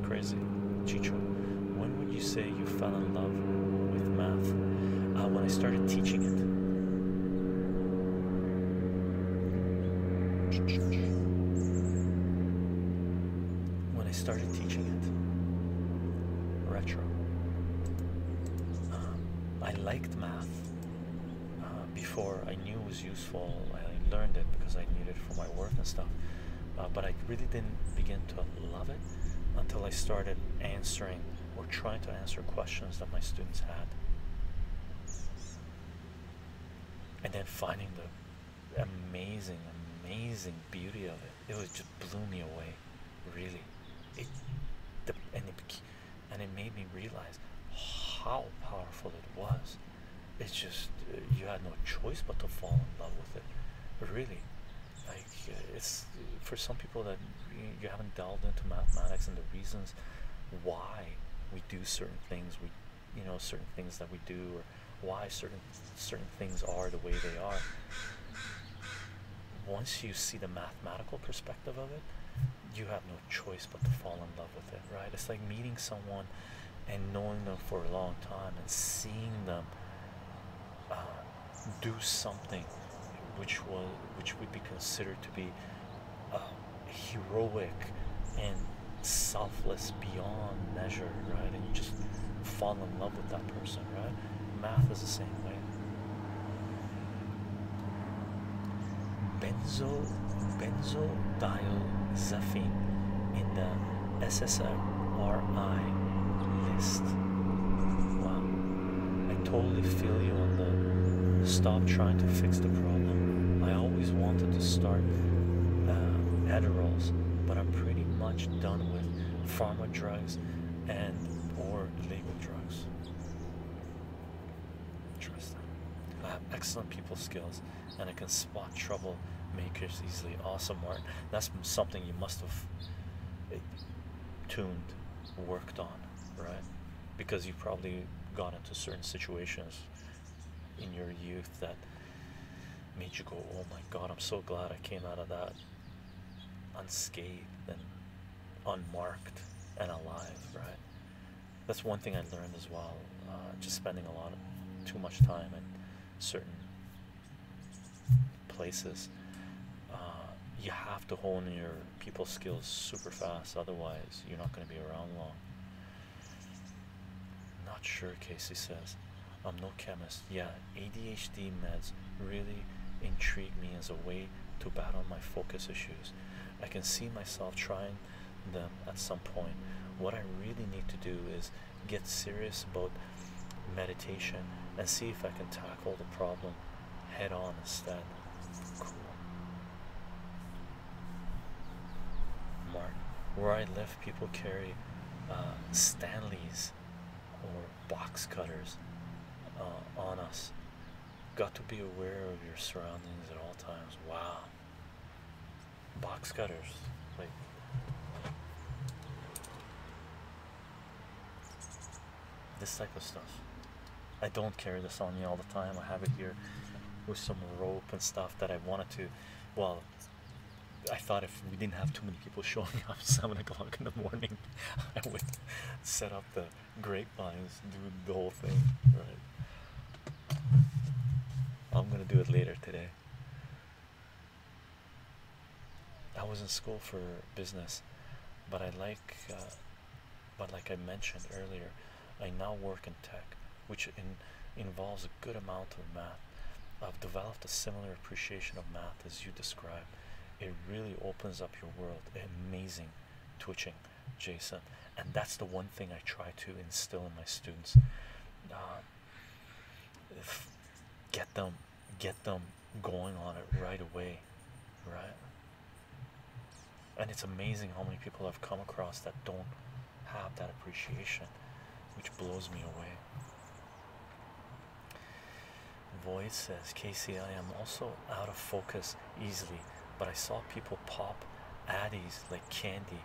Crazy. Chicho, when would you say you fell in love with math? Uh, when I started teaching it. When I started teaching it, retro. Um, I liked math uh, before I knew it was useful. I learned it because I needed it for my work and stuff. Uh, but I really didn't begin to love it until I started answering or trying to answer questions that my students had and then finding the amazing, amazing beauty of it. It was just blew me away, really. and it, and it made me realize how powerful it was. It's just uh, you had no choice but to fall in love with it, really. Like uh, it's for some people that you haven't delved into mathematics and the reasons why we do certain things we you know certain things that we do or why certain certain things are the way they are once you see the mathematical perspective of it you have no choice but to fall in love with it right it's like meeting someone and knowing them for a long time and seeing them uh, do something which was which would be considered to be heroic and selfless beyond measure, right? And you just fall in love with that person, right? Math is the same way. Benzo, benzodiazepine in the SSRI list. I totally feel you on the stop trying to fix the problem. I always wanted to start uh, Adderalls, but I'm pretty much done with pharma drugs and or legal drugs. Interesting. I have excellent people skills and I can spot trouble makers easily. Awesome, Martin. That's something you must have eh, tuned, worked on, right? Because you have probably gone into certain situations in your youth that made you go, oh my god, I'm so glad I came out of that unscathed and unmarked and alive, right? That's one thing I learned as well, uh, just spending a lot of too much time in certain places. Uh, you have to hone your people skills super fast, otherwise, you're not going to be around long. Not sure, Casey says. I'm no chemist. Yeah, ADHD meds really intrigue me as a way to battle my focus issues. I can see myself trying them at some point. What I really need to do is get serious about meditation and see if I can tackle the problem head on instead. Cool. Mark. Where I live, people carry uh, Stanleys or box cutters uh, on us. Got to be aware of your surroundings at all times. Wow. Box cutters. Like, this type of stuff. I don't carry this on me all the time. I have it here with some rope rope stuff that I wanted to. Well, I thought if we didn't have too many people showing up at seven o'clock in the morning, I would set up the grapevines, do the whole thing, right? I'm gonna do it later today. I was in school for business, but I like, uh, but like I mentioned earlier, I now work in tech, which involves a good amount of math. I've developed a similar appreciation of math as you describe. It really opens up your world. Amazing twitching, Jason. And that's the one thing I try to instill in my students. Uh, get them, get them going on it right away, right? And it's amazing how many people I've come across that don't have that appreciation, which blows me away. Voice says, Casey, I am also out of focus easily, but I saw people pop addies like candy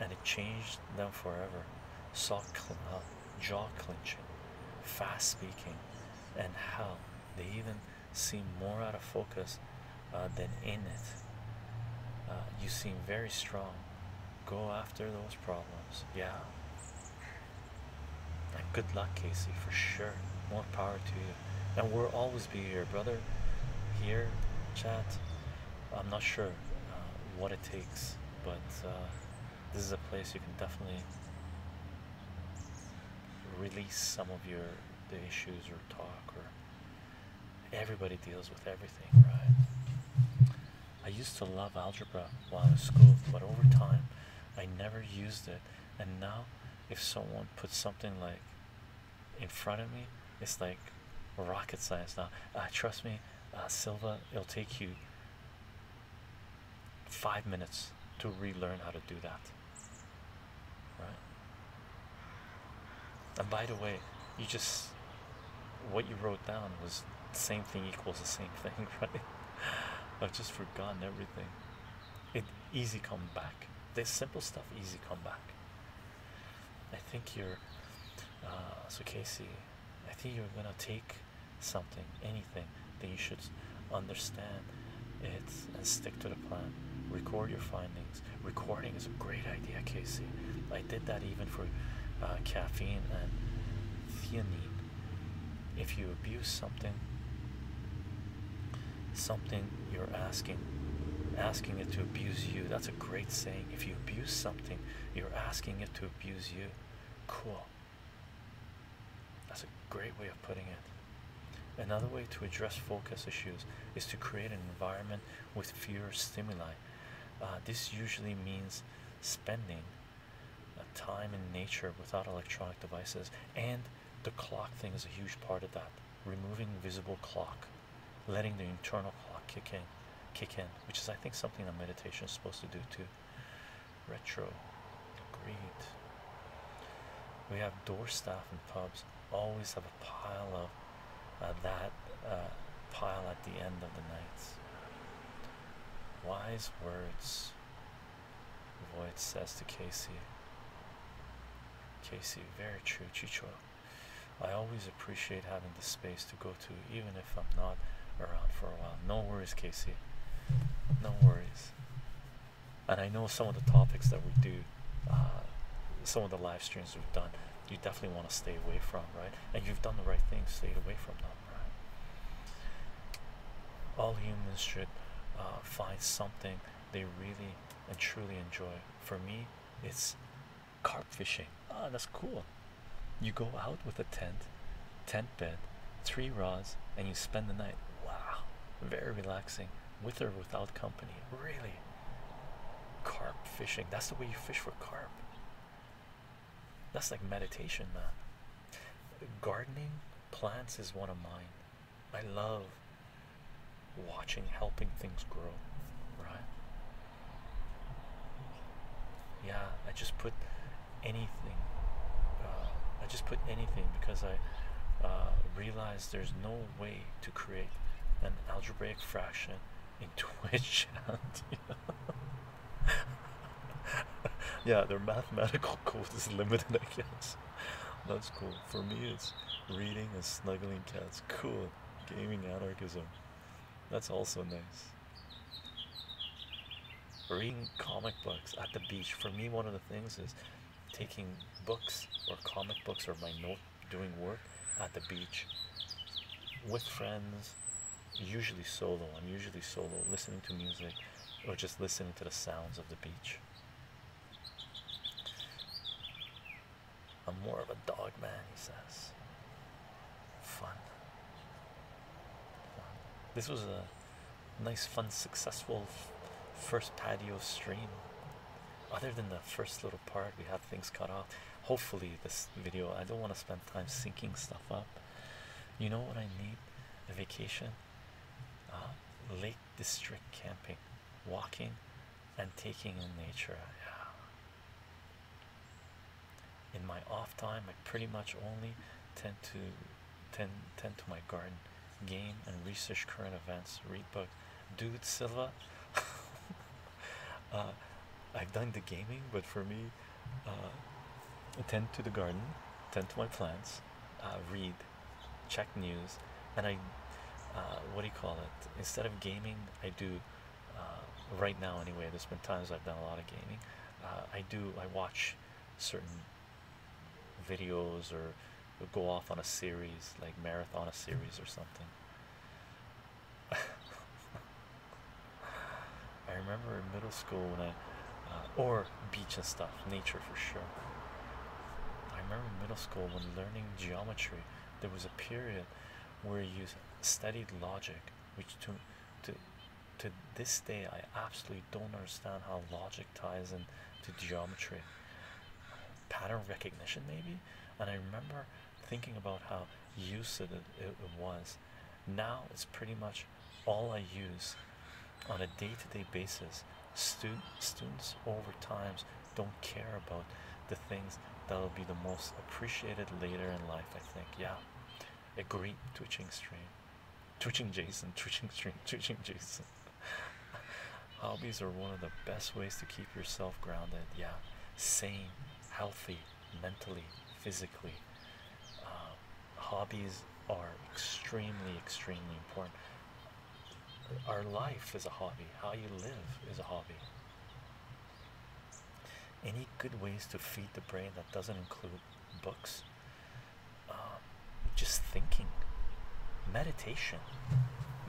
and it changed them forever. Saw cl uh, jaw clenching, fast speaking, and how they even seem more out of focus uh, than in it. Uh, you seem very strong. Go after those problems. Yeah. And good luck, Casey, for sure. More power to you. And we'll always be here, brother. Here, chat. I'm not sure uh, what it takes, but uh, this is a place you can definitely release some of your issues or talk or Everybody deals with everything, right? I used to love algebra while in school, but over time I never used it. And now, if someone puts something like in front of me, it's like rocket science now. Uh, trust me, uh, Silva, it'll take you five minutes to relearn how to do that. Right? And by the way, you just what you wrote down was same thing equals the same thing, right? I've just forgotten everything. It easy come back. This simple stuff easy come back. I think you're uh, so Casey. I think you're gonna take something, anything that you should understand it and stick to the plan. Record your findings Recording is a great idea, Casey. I did that even for uh, caffeine and theanine. If you abuse something, something you're asking, asking it to abuse you. That's a great saying. If you abuse something, you're asking it to abuse you. Cool. That's a great way of putting it. Another way to address focus issues is to create an environment with fewer stimuli. Uh, this usually means spending uh, time in nature without electronic devices, and the clock thing is a huge part of that. Removing visible clock, letting the internal clock kick in, kick in, which is I think something that meditation is supposed to do too. Retro, agreed. We have door staff and pubs always have pile of uh, that uh, pile at the end of the night. Wise words, Void says to Casey. Casey, very true, Chicho. I always appreciate having the space to go to, even if I'm not around for a while. No worries, Casey. No worries. And I know some of the topics that we do, uh, some of the live streams we've done you definitely want to stay away from, right? And you've done the right thing, stayed away from them, right? All humans should uh, find something they really and truly enjoy. For me, it's carp fishing. Ah, that's cool. You go out with a tent, tent bed, three rods, and you spend the night. Wow, very relaxing, with or without company. Really, Carp fishing. That's the way you fish for carp. That's like meditation, man. Gardening, plants is one of mine. I love watching, helping things grow, right? Yeah, I just put anything. Uh, I just put anything because I uh, realize there's no way to create an algebraic fraction in Twitch. yeah, their mathematical code is limited, I guess. That's cool. For me, it's reading and snuggling cats. Cool. Gaming anarchism. That's also nice. Reading comic books at the beach. For me, one of the things is taking books or comic books or my note doing work at the beach with friends, usually solo. I'm usually solo, listening to music or just listening to the sounds of the beach. I'm more of a dog man, he says. Fun. This was a nice, fun, successful first patio stream. Other than the first little part, we have things cut out. Hopefully, this video I don't want to spend time syncing stuff up. You know what I need? A vacation, uh, Lake District camping, walking, and taking in nature. Yeah. In my off time, I pretty much only tend to tend to my garden, game and research current events, read books. Dude Silva. Uh, I've done the gaming, but for me, uh, tend to the garden, tend to my plants, uh, read, check news, and I, uh, what do you call it? Instead of gaming, I do. right now, anyway, there's been times I've done a lot of gaming. I do. I watch certain videos or go off on a series, like marathon a series or something. I remember in middle school when I, uh, or beach and stuff, nature for sure. I remember in middle school when learning geometry, there was a period where you studied logic, which to, to, to this day I absolutely don't understand how logic ties in to geometry. Pattern recognition, maybe, and I remember thinking about how used it, was. Now it's pretty much all I use on a day-to-day basis. students over times don't care about the things that'll be the most appreciated later in life. I think, yeah. Agree, twitching stream, twitching Jason, twitching stream, twitching Jason. Hobbies are one of the best ways to keep yourself grounded. Yeah, sane, healthy, mentally, physically. Um, hobbies are extremely, extremely important. Our life is a hobby, how you live is a hobby. Any good ways to feed the brain that doesn't include books? Um, just thinking. Meditation.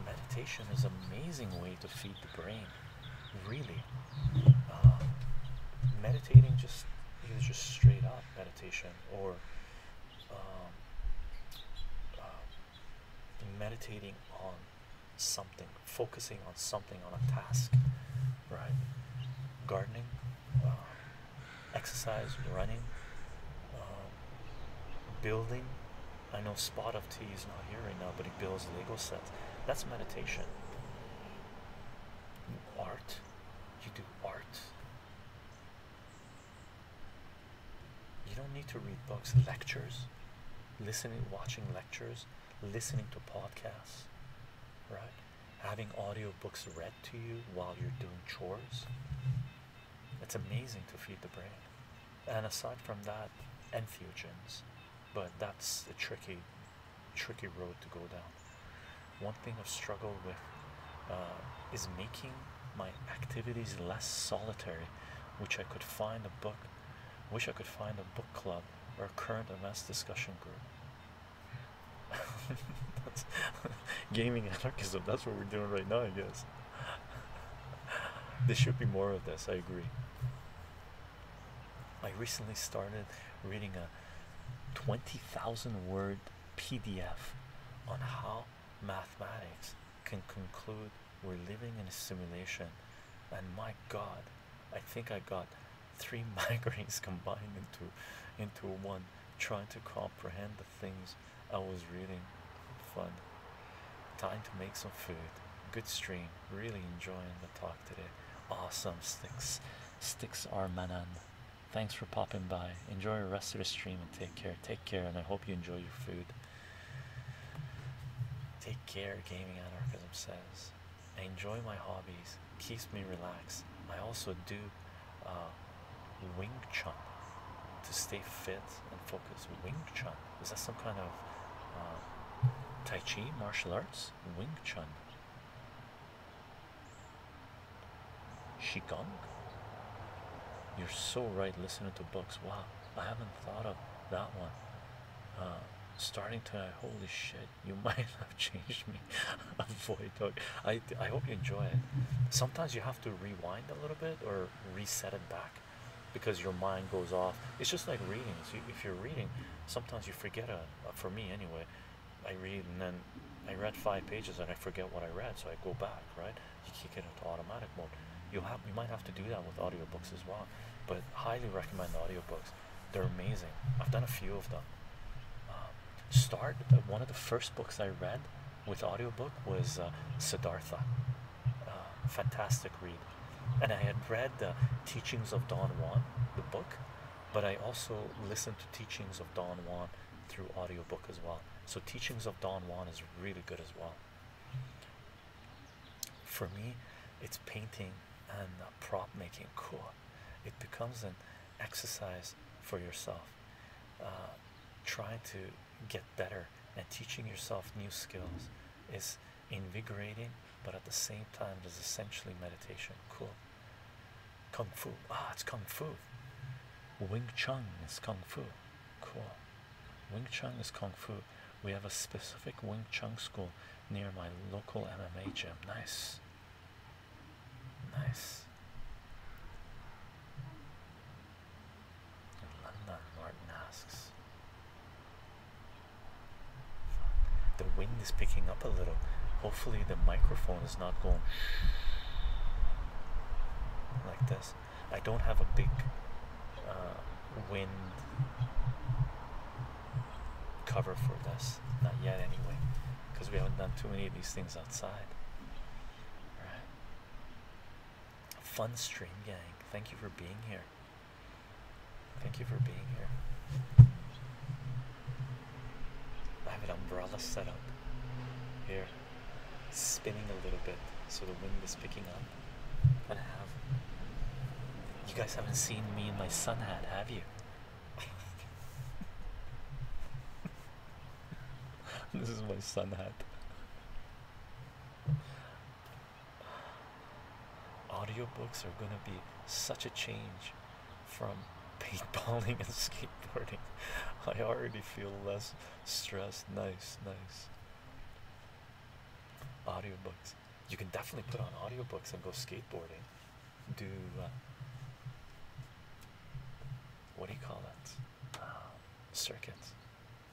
Meditation is an amazing way to feed the brain really uh, meditating just either just straight up meditation or um, uh, meditating on something focusing on something on a task right gardening uh, exercise running um, building I know spot of tea is not here right now, but builds Lego sets. That's meditation. art. You do art. You don't need to read books, lectures, listening, watching lectures, listening to podcasts, right? Having audio books read to you while you're doing chores. It's amazing to feed the brain. And aside from that, infusions, but that's a tricky tricky road to go down one thing i've struggled with uh, is making my activities less solitary which i could find a book wish i could find a book club or a current events discussion group that's gaming anarchism that's what we're doing right now i guess there should be more of this i agree I recently started reading a 20,000 word PDF on how mathematics can conclude we're living in a simulation. And my God, I think I got three migraines combined into into one trying to comprehend the things I was reading. Fun. Time to make some food. Good stream. Really enjoying the talk today. Awesome sticks. Sticks are manan. Thanks for popping by. Enjoy the rest of the stream and take care. Take care, and I hope you enjoy your food. Take care, Gaming Anarchism says. I enjoy my hobbies. Keeps me relaxed. I also do uh, Wing Chun to stay fit and focus. Wing Chun is that some kind of uh, Tai Chi martial arts? Wing Chun. Qigong? You're so right listening to books. Wow, I haven't thought of that one. Uh, starting to holy shit, you might have changed me. Avoid I, I hope you enjoy it. Sometimes you have to rewind a little bit or reset it back because your mind goes off. It's just like reading. So if you're reading, sometimes you forget a, uh, uh, for me anyway I read and then I read five pages and I forget what I read so I go back right you kick it into automatic mode you have you might have to do that with audiobooks as well but highly recommend audiobooks they're amazing I've done a few of them um, start uh, one of the first books I read with audiobook was Siddhartha fantastic read and I had read the teachings of Don Juan, the book, but I also listened to teachings of Don Juan through audiobook as well. So teachings of Don Juan is really good as well. For me, it's painting and prop making cool. It becomes an exercise for yourself, uh, trying to get better and teaching yourself new skills is invigorating, but at the same time, there's essentially meditation. Cool. Kung Fu. Ah, it's Kung Fu. Wing Chun is Kung Fu. Cool. Wing Chun is Kung Fu. We have a specific Wing Chun school near my local MMA gym. Nice. Nice. London, Martin asks. The wind is picking up a little. Hopefully, the microphone is not going like this. I don't have a big uh, wind cover for this, not yet anyway, because we haven't done too many of these things outside. Fun stream gang, thank you for being here. Thank you for being here. I have an umbrella set up here, spinning a little bit so the wind is picking up. And I have. You guys haven't seen me in my sun hat, have you? this is my sun hat. Audiobooks are going to be such a change from paintballing and skateboarding. I already feel less stressed. Nice, nice. Audiobooks. You can definitely put on audiobooks and go skateboarding. Do uh, what do you call that? Uh, circuits.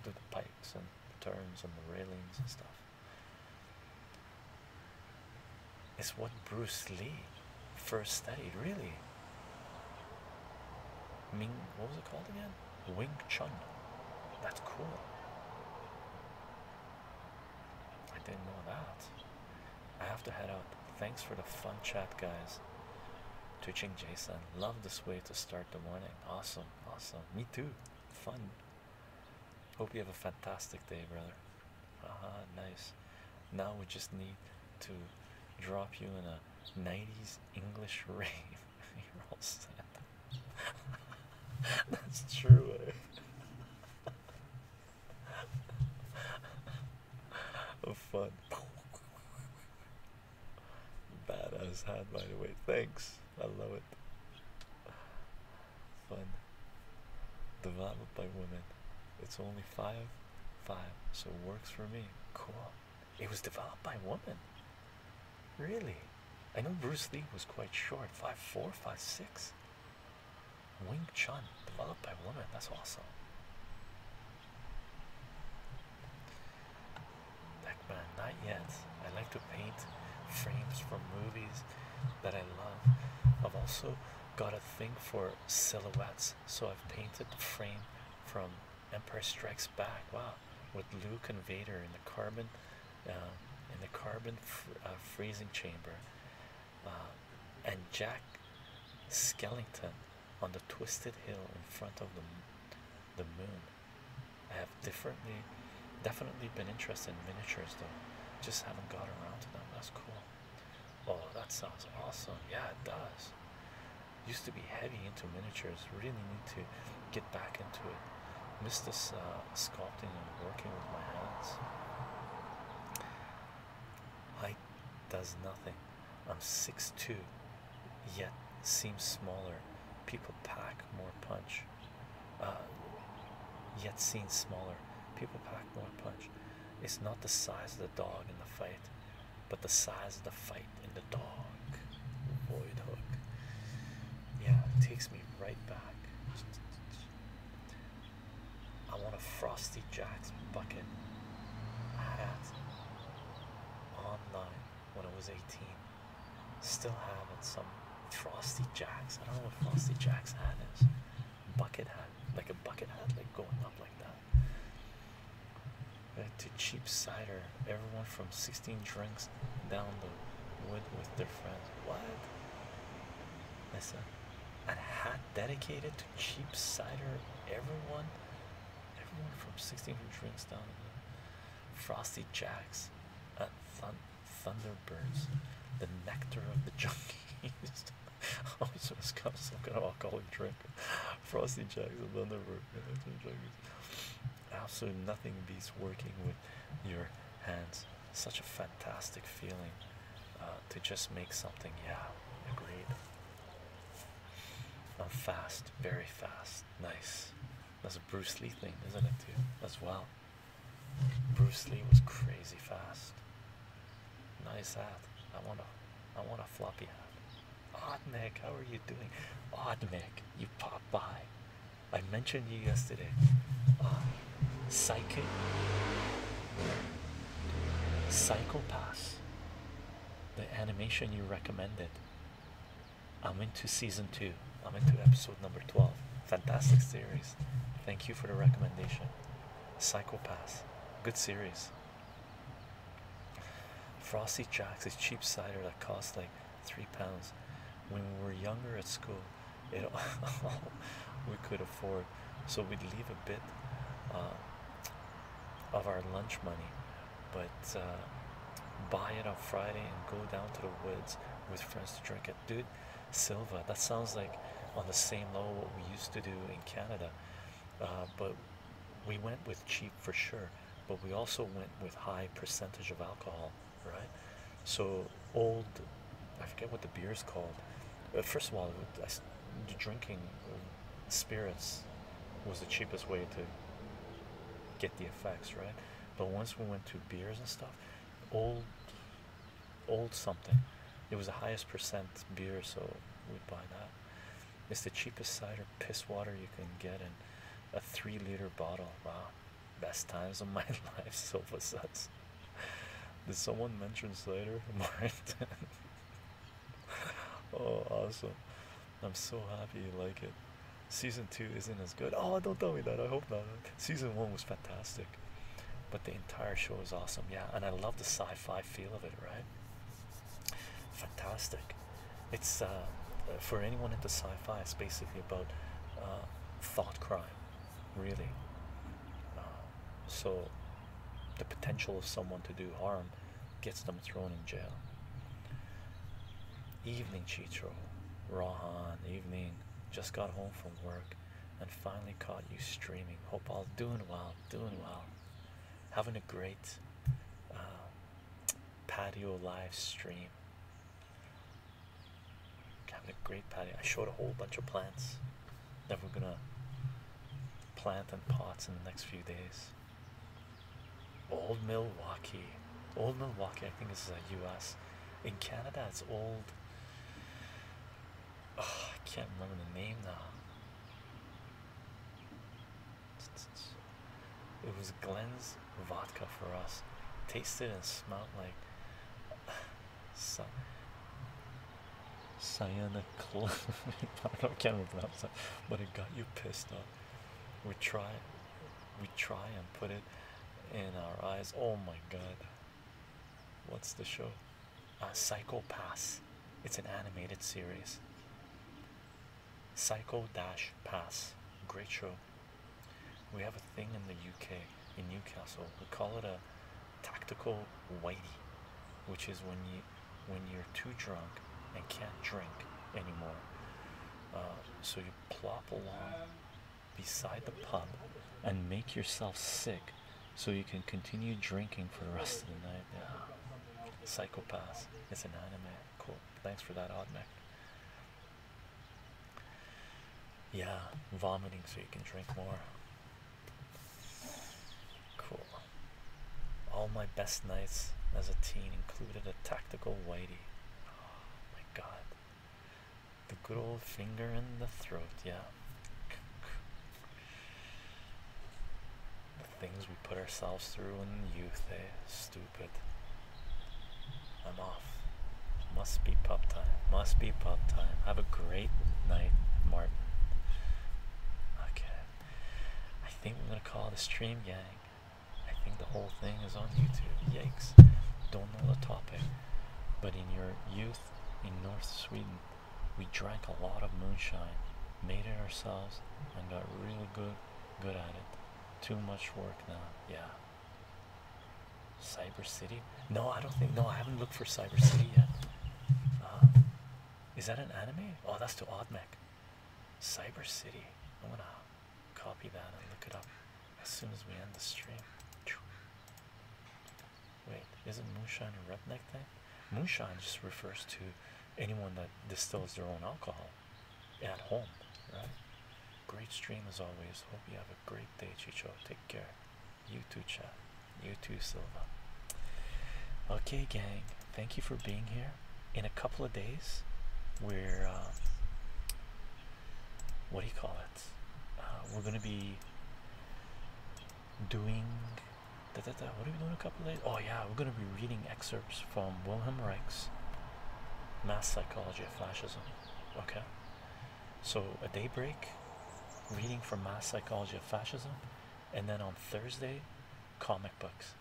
Do the pikes and the turns and the railings and stuff. It's what Bruce Lee first studied, really. Ming, what was it called again? Wing Chun. That's cool. I didn't know that. I have to head out. Thanks for the fun chat, guys. Twitching Jason. Love this way to start the morning. Awesome, awesome. Me too. Fun. Hope you have a fantastic day, brother. Aha, nice. Now we just need to drop you in a 90s English rave. You're all set. That's true. Eh? oh, fun. Badass hat, by the way. Thanks. I love it fun. Developed by women. It's only five, five, so it works for me. Cool. It was developed by women. Really? I know Bruce Lee was quite short, five four, five six. Wing Chun, developed by women. That's awesome. Deckman, not yet. I like to paint frames for movies that I love. I've also got a thing for silhouettes, so I've painted the frame from Empire Strikes Back. Wow, with Luke and Vader in the carbon, uh, in the carbon uh, freezing chamber, uh, and Jack Skellington on the twisted hill in front of the the moon. I have differently Definitely been interested in miniatures though, just haven't got around to them. That's cool. Oh, that sounds awesome. Yeah, it does. Used to be heavy into miniatures, really need to get back into it. Miss this uh, sculpting and working with my hands. I does nothing. I'm six two, yet seems smaller. People pack more punch. Uh, yet seen smaller. People pack more punch. It's not the size of the dog in the fight, but the size of the fight in the dog. Void hook. Yeah, it takes me right back. I want a Frosty Jack's bucket hat online when I was 18. Still have it some Frosty Jacks. I don't know what Frosty Jack's hat is. Bucket hat, like a bucket hat, like going up like that. to cheap cider. Everyone from 16 drinks down the wood with their friends. What? That's a hat dedicated to cheap cider. Everyone, everyone from 16 drinks down the Frosty Jacks. Thunderbirds, the nectar of the junkies. oh, so this got some kind of alcoholic drink. Frosty Jacks and Thunderbird, the junkies. Absolutely nothing beats working with your hands. Such a fantastic feeling uh, to just make something. Yeah, agreed. I'm fast, very fast. Nice. That's a Bruce Lee thing, isn't it, Too As well. Bruce Lee was crazy fast. Nice hat. I want a, I want a floppy hat. Odd Nick, how are you doing? Odd Nick, you pop by. I mentioned you yesterday. Psychic? Cycle pass. The animation you recommended. I'm into season two. I'm into episode number twelve. Fantastic series. Thank you for the recommendation. Pass, good series. Frosty Jacks is cheap cider that costs like three pounds. When we were younger at school, we could afford, so we'd leave a bit uh, of our lunch money, but uh, buy it on Friday and go down to the woods with friends to drink it, dude silver. That sounds like on the same level what we used to do in Canada, uh, but we went with cheap for sure. But we also went with high percentage of alcohol, right? So old, I forget what the beer is called. But first of all, I, drinking spirits was the cheapest way to get the effects, right? But once we went to beers and stuff, old old something. It was the highest percent beer, so we'd buy that. It's the cheapest cider piss water you can get in a three liter bottle. Wow, best times of my life, Silva says. Did someone mention cider? intense. oh, awesome. I'm so happy you like it. Season two isn't as good. Oh, don't tell me that. I hope not. Season one was fantastic but the entire show was awesome. Yeah, and I love the sci-fi feel of it, right? Fantastic. It's uh, for anyone into sci-fi. It's basically about uh, thought crime, really. Uh, so the potential of someone to do harm gets them thrown in jail. Evening, Chitro, Rohan. Evening. Just got home from work and finally caught you streaming. Hope all doing well, doing well, having a great uh, patio live stream. Having a great patio. I showed a whole bunch of plants that we're gonna plant in pots in the next few days. Old Milwaukee. Old Milwaukee, I think this is a US. In Canada, it's old I can't remember the name now. It was Glenn's vodka for us. Tasted and smelled like Cy cyanoclone. I don't can't that, but it got you pissed off. We try, we try and put it in our eyes. Oh my God what's the show? Uh, Psycho Pass. It's an animated series. Psycho Dash Pass. Great show. We have a thing in the UK, in Newcastle. We call it a tactical whitey, which is when you when you're too drunk and can't drink anymore. Uh, so you plop along beside the pub and make yourself sick so you can continue drinking for the rest of the night. Yeah. Psychopaths. It's an anime. Cool. Thanks for that, Odd Mac. Yeah, vomiting so you can drink more. Cool. All my best nights as a teen included a tactical whitey. Oh my god. The good old finger in the throat, yeah. The things we put ourselves through in youth, eh? Stupid. I'm off. Must be pub time. Must be pub time. Have a great night, Martin. Okay. I think we're gonna call the stream gang. I think the whole thing is on YouTube. Yikes. Don't know the topic. But in your youth, in North Sweden, we drank a lot of moonshine, made it ourselves, and got really good, good at it. Too much work now, yeah. Cyber City? No, I don't think. No, I haven't looked for Cyber City yet. Uh, is that an anime? Oh, that's to Oddmech. Cyber City. I'm gonna copy that and look it up as soon as we end the stream. Wait, is not moonshine a redneck thing? Moonshine just refers to anyone that distills their own alcohol at home, right? Great stream as always. Hope you have a great day, Chicho. Take care. You too, Chao. You too, Silva. Okay, gang. Thank you for being here. In a couple of days, we're um, what do you call it? Uh, we're gonna be doing what are we doing a couple days oh yeah we're going to be reading excerpts from wilhelm reich's mass psychology of fascism okay so a day break reading from mass psychology of fascism and then on thursday comic books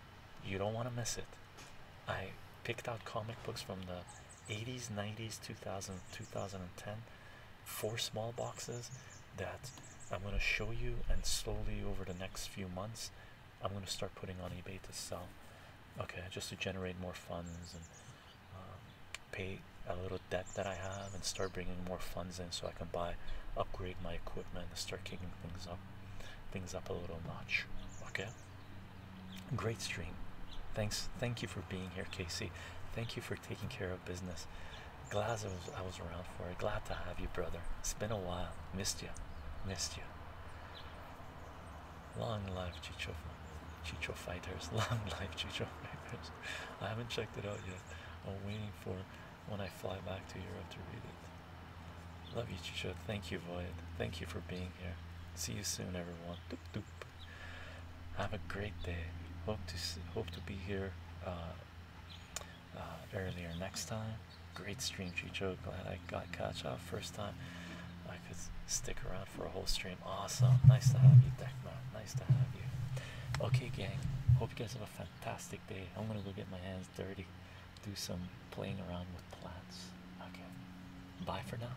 you don't want to miss it i picked out comic books from the 80s 90s 2000 2010 four small boxes that I'm going to show you, and slowly over the next few months, I'm going to start putting on eBay to sell. Okay, just to generate more funds and um, pay a little debt that I have, and start bringing more funds in so I can buy, upgrade my equipment, and start kicking things up, things up a little notch. Okay. Great stream. Thanks. Thank you for being here, Casey. Thank you for taking care of business. Glad I was, around for it. Glad to have you, brother. It's been a while. Missed you. Missed you. Long life, Chicho, Chicho Fighters. Long life, Chicho Fighters. I haven't checked it out yet. I'm waiting for when I fly back to Europe to read it. Love you, Chicho. Thank you, Void. Thank you for being here. See you soon, everyone. Doop, doop. Have a great day. Hope to hope to be here uh, uh, earlier next time. Great stream, Chicho. Glad I got catch up first time. I could stick around for a whole stream. Awesome. Nice to have you, Deckman. Nice to have you. Okay, gang. Hope you guys have a fantastic day. I'm gonna go get my hands dirty, do some playing around with plants. Okay. Bye for now.